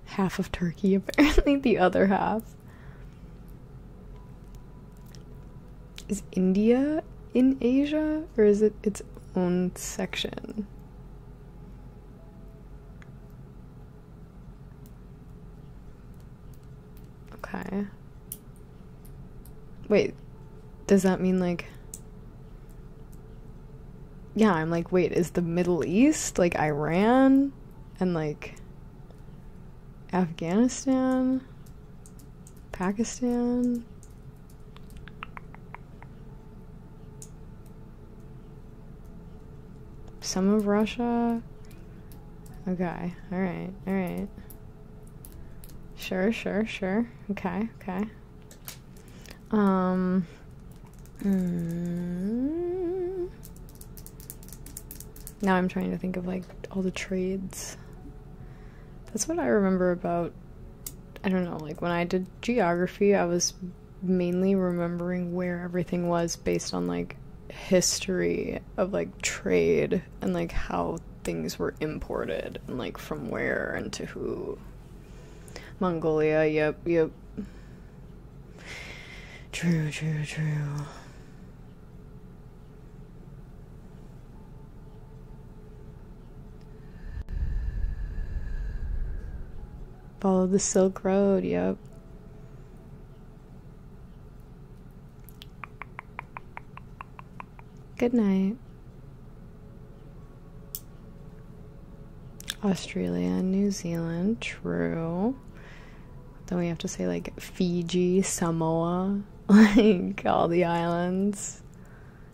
Speaker 2: half of Turkey, (laughs) apparently, the other half. Is India in Asia or is it its own section? Okay. Wait, does that mean like. Yeah, I'm like, wait, is the Middle East like Iran? and like Afghanistan, Pakistan. Some of Russia. Okay, alright, alright. Sure, sure, sure. Okay, okay. Um Mm. Now I'm trying to think of like all the trades. That's what I remember about. I don't know, like when I did geography, I was mainly remembering where everything was based on like history of like trade and like how things were imported and like from where and to who. Mongolia, yep, yep. True, true, true. Follow the Silk Road, yep. Good night. Australia and New Zealand, true. Then we have to say like Fiji, Samoa, (laughs) like all the islands,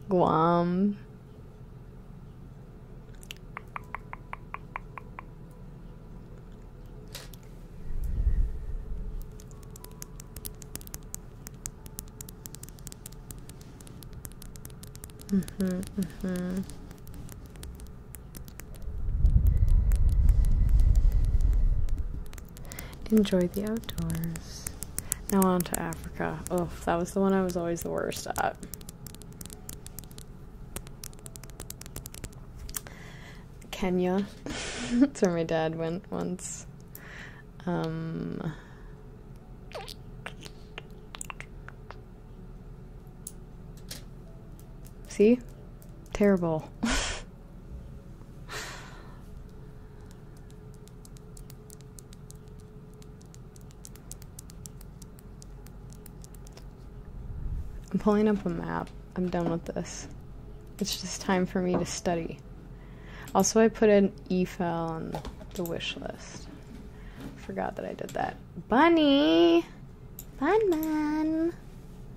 Speaker 2: Guam. Mm-hmm, mm-hmm. Enjoy the outdoors. Now on to Africa. Oh, that was the one I was always the worst at. Kenya. (laughs) That's where my dad went once. Um, See? Terrible. (laughs) I'm pulling up a map. I'm done with this. It's just time for me to study. Also, I put an EFEL on the wish list. Forgot that I did that. Bunny. Fun man.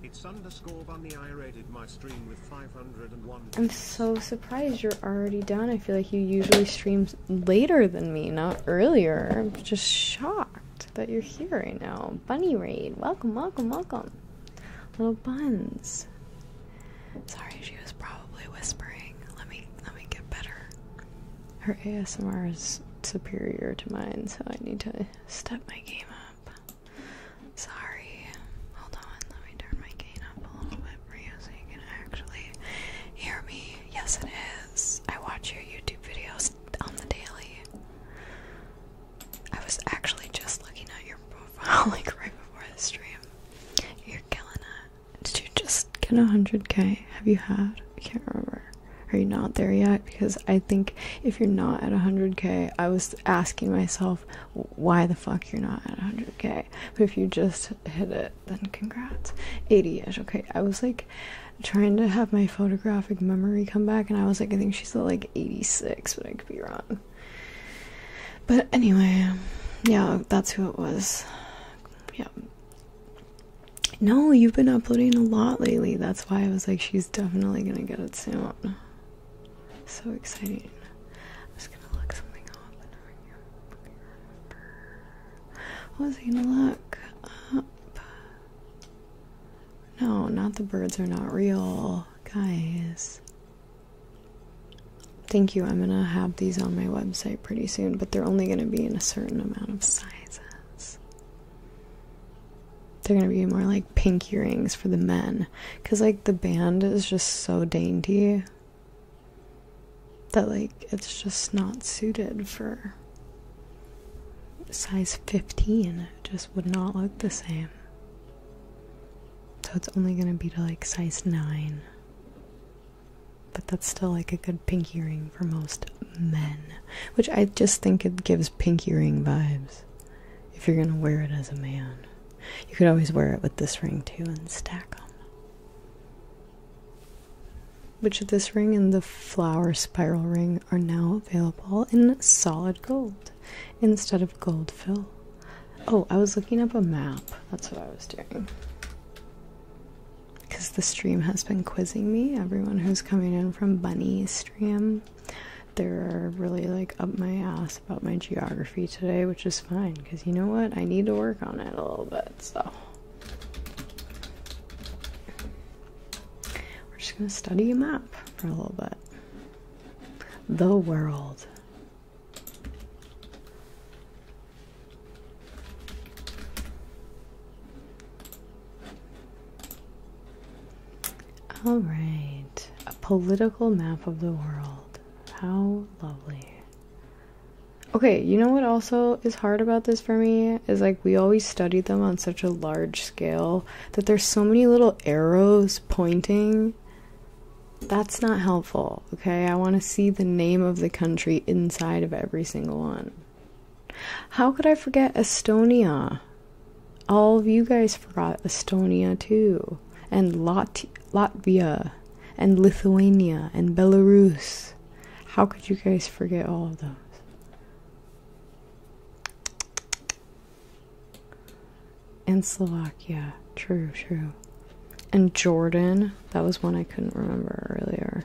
Speaker 1: It's underscore bunny. I rated my stream with 501. I'm so
Speaker 2: surprised you're already done. I feel like you usually stream later than me, not earlier. I'm just shocked that you're here right now. Bunny raid. Welcome, welcome, welcome. Little buns. Sorry, she was probably whispering. Let me let me get better. Her ASMR is superior to mine, so I need to step my game up. Sorry. Hold on, let me turn my game up a little bit for you so you can actually hear me. Yes, it is. I watch your YouTube videos on the daily. I was actually just looking at your profile (laughs) like right before the stream. You're killing it. Did you just get a 100k? Have you had? I can't remember. Are you not there yet? Because I think if you're not at 100k, I was asking myself why the fuck you're not at 100k. But if you just hit it, then congrats. 80 ish. Okay, I was like trying to have my photographic memory come back, and I was like, I think she's at like 86, but I could be wrong. But anyway, yeah, that's who it was. Yeah. No, you've been uploading a lot lately. That's why I was like, she's definitely gonna get it soon. So exciting. I'm just gonna look something up and was gonna look up? No, not the birds are not real. Guys. Thank you. I'm gonna have these on my website pretty soon, but they're only gonna be in a certain amount of sizes. They're gonna be more like pink earrings for the men. Cause like the band is just so dainty that like it's just not suited for size 15. It just would not look the same. So it's only gonna be to like size 9. But that's still like a good pinky ring for most men, which I just think it gives pinky ring vibes. If you're gonna wear it as a man, you could always wear it with this ring too and stack them. Which this ring and the flower spiral ring are now available in solid gold instead of gold fill. Oh, I was looking up a map. That's what I was doing. Because the stream has been quizzing me. Everyone who's coming in from Bunny stream they're really like up my ass about my geography today, which is fine because you know what? I need to work on it a little bit, so we're just gonna study a map for a little bit. The world. All right, a political map of the world. How lovely. Okay, you know what also is hard about this for me is like we always study them on such a large scale that there's so many little arrows pointing. That's not helpful, okay? I want to see the name of the country inside of every single one. How could I forget Estonia? All of you guys forgot Estonia too, and Latvia, and Lithuania, and Belarus. How could you guys forget all of those? And Slovakia, true, true. And Jordan, that was one I couldn't remember earlier.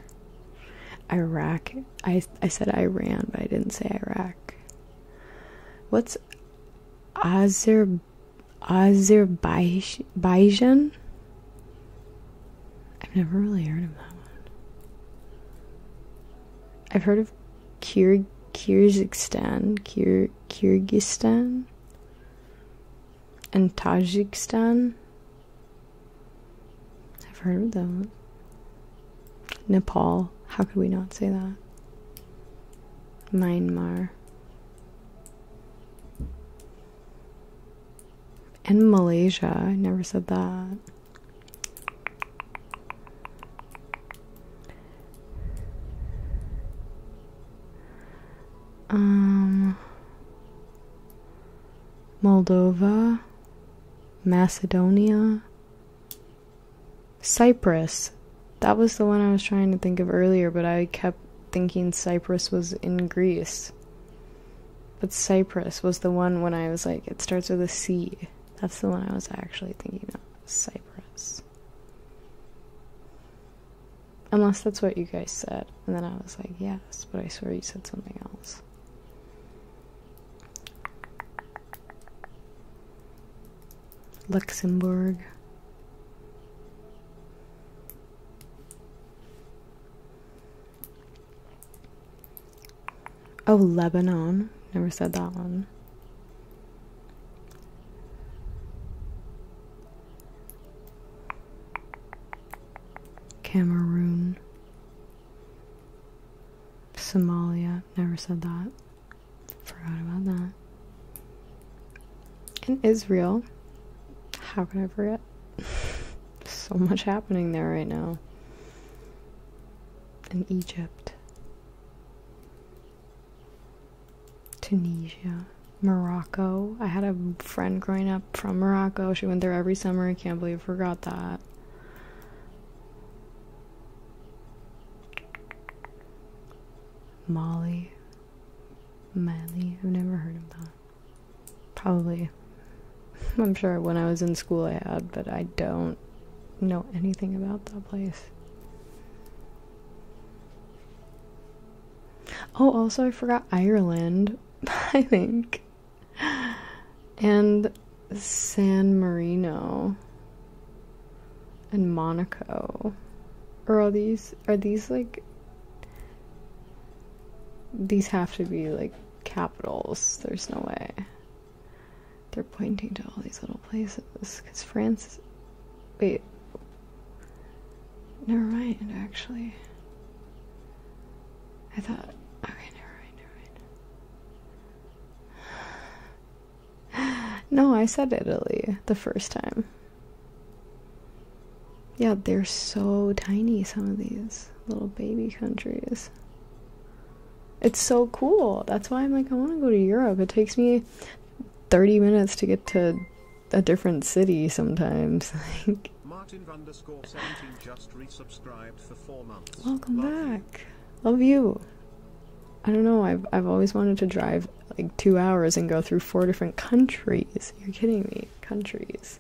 Speaker 2: Iraq, I I said Iran, but I didn't say Iraq. What's Azer Azerbaijan? I've never really heard of that one. I've heard of Kyrgyzstan, Kyrgyzstan, and Tajikistan. I've heard of that one. Nepal. How could we not say that? Myanmar. And Malaysia. I never said that. Um, Moldova, Macedonia, Cyprus. That was the one I was trying to think of earlier, but I kept thinking Cyprus was in Greece. But Cyprus was the one when I was like, it starts with a C. That's the one I was actually thinking of. Cyprus. Unless that's what you guys said. And then I was like, yes, but I swear you said something else. Luxembourg. Oh, Lebanon. Never said that one. Cameroon. Somalia never said that. Forgot about that. In Israel, how could I forget? (laughs) so much happening there right now. In Egypt, Tunisia, Morocco. I had a friend growing up from Morocco. She went there every summer. I can't believe I forgot that. Molly. Miley. I've never heard of that. Probably. (laughs) I'm sure when I was in school I had, but I don't know anything about that place. Oh, also, I forgot Ireland, (laughs) I think. And San Marino and Monaco. Or all these are these like these have to be like capitals. There's no way. They're pointing to all these little places cuz France is, wait. Never mind actually. I thought okay, never mind, never mind. (gasps) no, I said Italy the first time. Yeah, they're so tiny, some of these little baby countries. It's so cool. That's why I'm like, I want to go to Europe. It takes me 30 minutes to get to a different city sometimes. (laughs) like, Welcome back. You. Love you. I don't know. I've I've always wanted to drive like two hours and go through four different countries. You're kidding me, countries.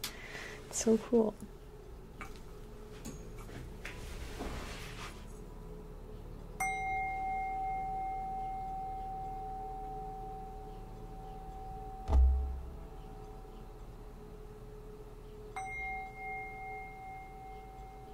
Speaker 2: so cool.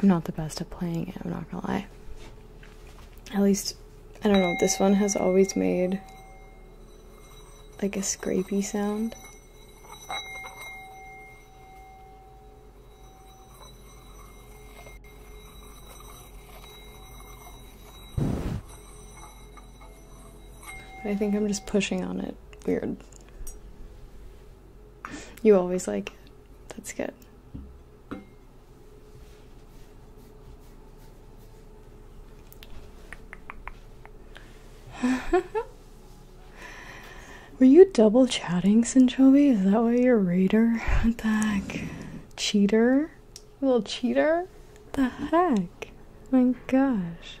Speaker 2: I'm not the best at playing it, I'm not gonna lie. At least, I don't know, this one has always made like a scrapey sound. I think I'm just pushing on it. Weird. You always like it. That's good. (laughs) Were you double chatting, Sinchobi? Is that why you're a reader? What the heck? cheater, little cheater. The heck, my gosh.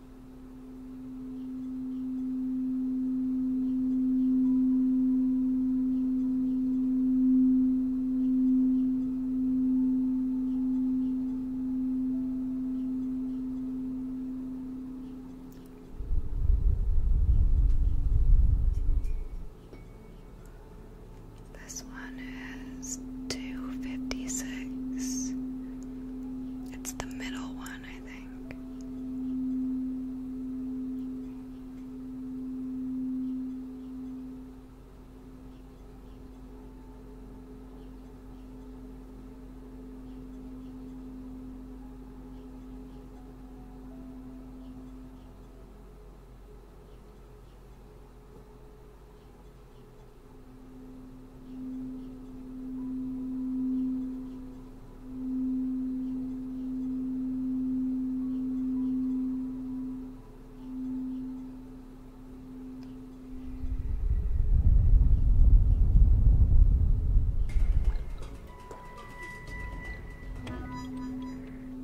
Speaker 2: This one is 256. It's the middle one one, I think.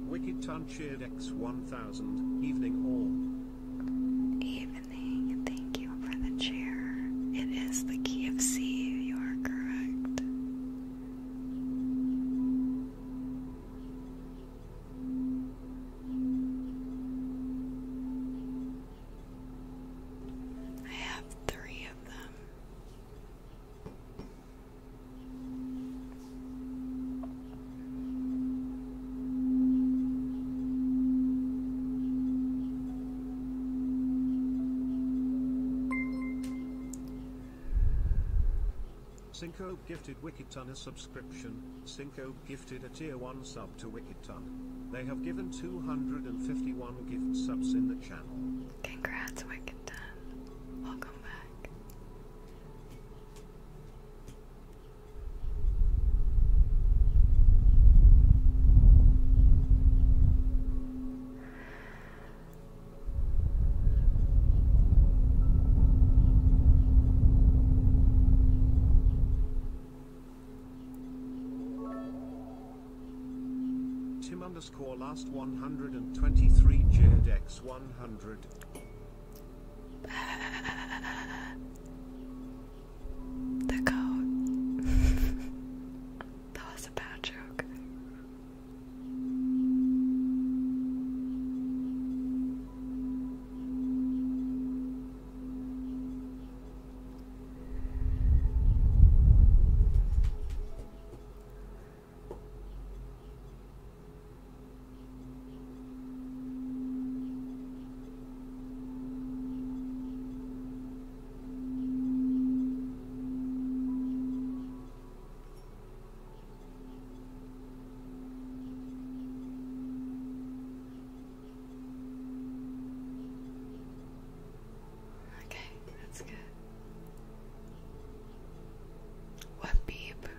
Speaker 1: Wicked Ton X1000,
Speaker 2: Evening All. Evening, thank you for the cheer. It is the key of C. You are correct. I have three of them.
Speaker 1: Cinco gifted Wikiton a subscription, Cinco gifted a tier 1 sub to Wikiton. They have given 251 gift subs in the channel. Congrats Wikiton, welcome back. Tim underscore last 123 JDX 100. the code. (laughs) That was a bad joke.
Speaker 2: Okay, that's good. What beep? I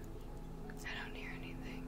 Speaker 2: don't hear anything.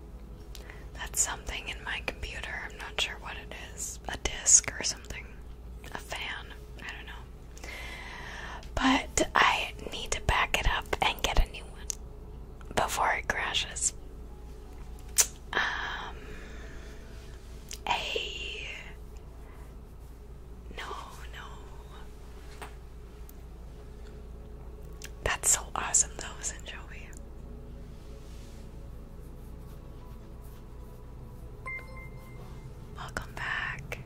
Speaker 2: That's something in my computer. I'm not sure what it is. A disc or something. A fan. I don't know. But I need to back it up and get a new one before it crashes. Um, No, no. That's so awesome, though, isn't Joey? Welcome back.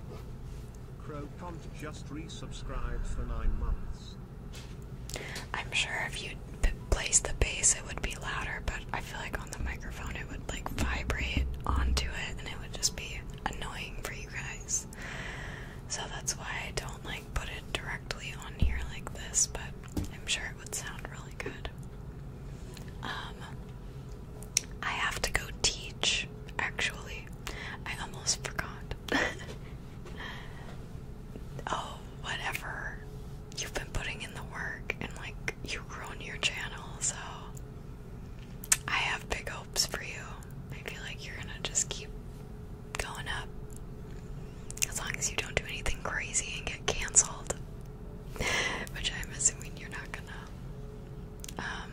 Speaker 2: I'm sure if you place the bass, it would be louder, but I feel like on the microphone, it would like vibrate onto it, and it would just be annoying for you guys. So that's why I don't like put it directly on here like this, but I'm sure it would sound really good. Um, I have to go teach, actually. I almost forgot. (laughs) oh, whatever. You've been putting in the work and, like, you've grown your channel, so I have big hopes for you. I feel like you're gonna just keep going up. As long as you don't do anything crazy and get cancelled. (laughs) Which I'm assuming you're not gonna. Um,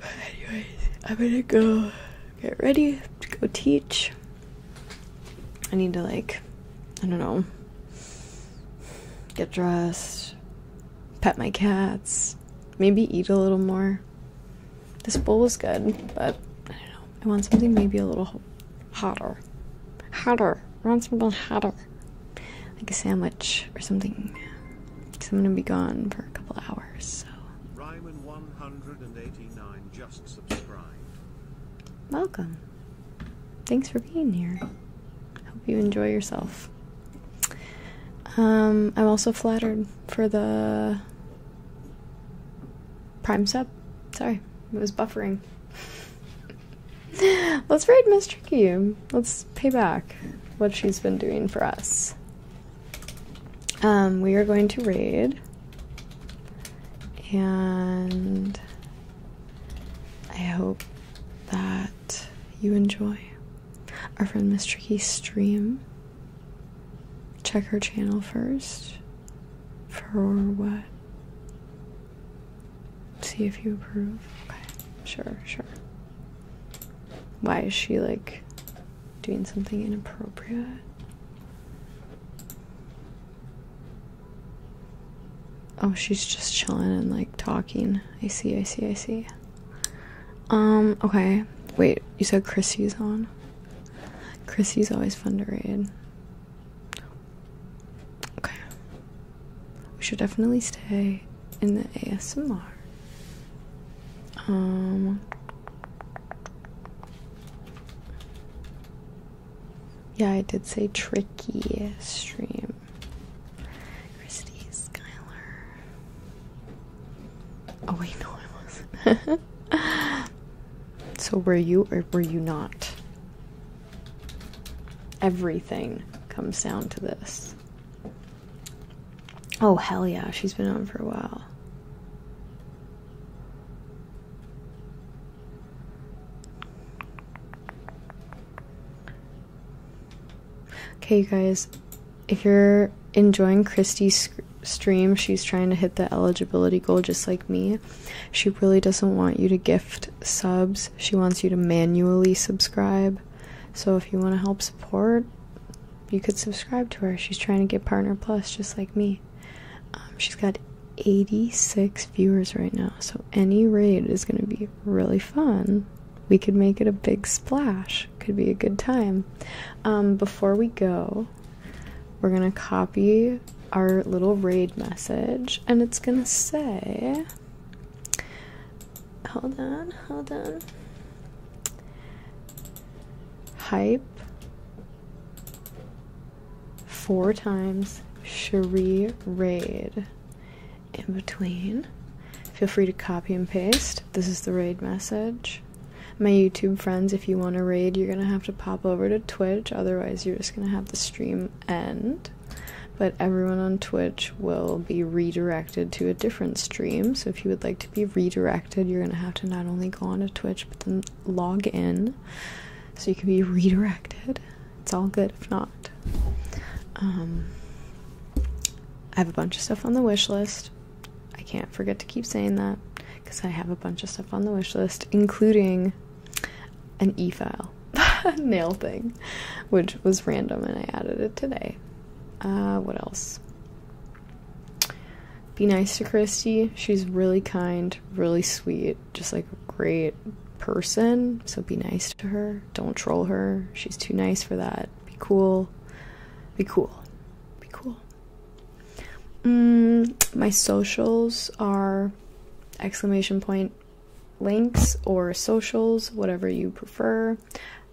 Speaker 2: but anyways, I'm gonna go get ready to go teach. I need to, like, I don't know, get dressed, pet my cats, maybe eat a little more. This bowl is good, but I don't know. I want something maybe a little hotter. Hotter. I want something hotter. Like a sandwich or something. Because I'm going to be gone for a couple hours, so. Ryman189
Speaker 1: just subscribed.
Speaker 2: Welcome. Thanks for being here. Hope you enjoy yourself. Um, I'm also flattered for the Prime sub. Sorry, it was buffering. (laughs) Let's raid Miss Tricky. Let's pay back what she's been doing for us. Um, we are going to raid. And I hope that you enjoy our friend Miss Tricky's stream. Check her channel first. For what? See if you approve. Okay. Sure, sure. Why is she like doing something inappropriate? Oh, she's just chilling and like talking. I see, I see, I see. Um, okay. Wait, you said Chrissy's on? Chrissy's always fun to read. Okay. We should definitely stay in the ASMR. Um Yeah, I did say tricky stream. Christy Skylar. Oh wait, no, I wasn't. (laughs) So, were you or were you not? Everything comes down to this. Oh, hell yeah, she's been on for a while. Okay, guys, if you're enjoying Christy's stream, she's trying to hit the eligibility goal just like me. She really doesn't want you to gift subs, she wants you to manually subscribe. So if you want to help support, you could subscribe to her. She's trying to get Partner Plus just like me. Um, she's got 86 viewers right now, so any raid is going to be really fun. We could make it a big splash. Could be a good time. Um, before we go, we're gonna copy our little raid message and it's gonna say hold on hold on hype four times Sherry raid in between feel free to copy and paste this is the raid message my YouTube friends, if you want to raid, you're gonna have to pop over to Twitch, otherwise, you're just gonna have the stream end. But everyone on Twitch will be redirected to a different stream. So, if you would like to be redirected, you're gonna have to not only go onto Twitch but then log in so you can be (laughs) redirected. It's all good if not. Um, I have a bunch of stuff on the wish list. I can't forget to keep saying that because I have a bunch of stuff on the wish list, including an e file (laughs) nail thing, which was random and I added it today. Uh, what else? Be nice to Christy. She's really kind, really sweet, just like a great person. So be nice to her. Don't troll her. She's too nice for that. Be cool. Be cool. Be cool. Mm, my socials are exclamation point links or socials, whatever you prefer.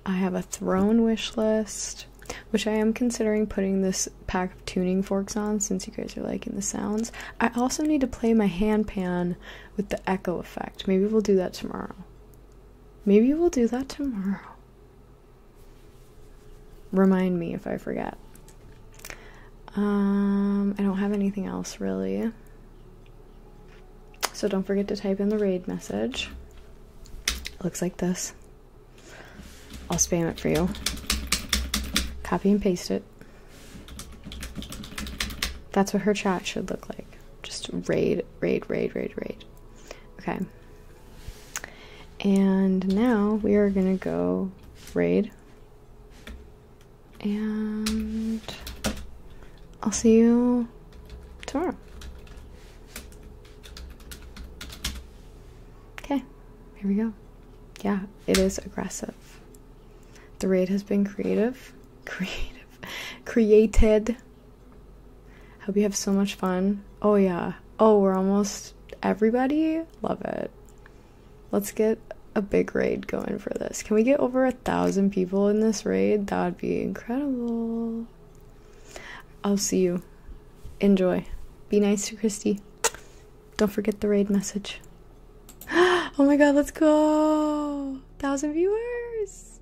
Speaker 2: I have a throne wish list, which I am considering putting this pack of tuning forks on since you guys are liking the sounds. I also need to play my hand pan with the echo effect. Maybe we'll do that tomorrow. Maybe we'll do that tomorrow. Remind me if I forget. Um, I don't have anything else really. So don't forget to type in the raid message. It looks like this. I'll spam it for you. Copy and paste it. That's what her chat should look like. Just raid, raid, raid, raid, raid. Okay. And now we are going to go raid. And I'll see you tomorrow. Okay, here we go. Yeah, it is aggressive. The raid has been creative. (laughs) Creative. Created. Hope you have so much fun. Oh, yeah. Oh, we're almost everybody. Love it. Let's get a big raid going for this. Can we get over a thousand people in this raid? That would be incredible. I'll see you. Enjoy. Be nice to Christy. Don't forget the raid message. (gasps) oh my god, let's go! Thousand viewers!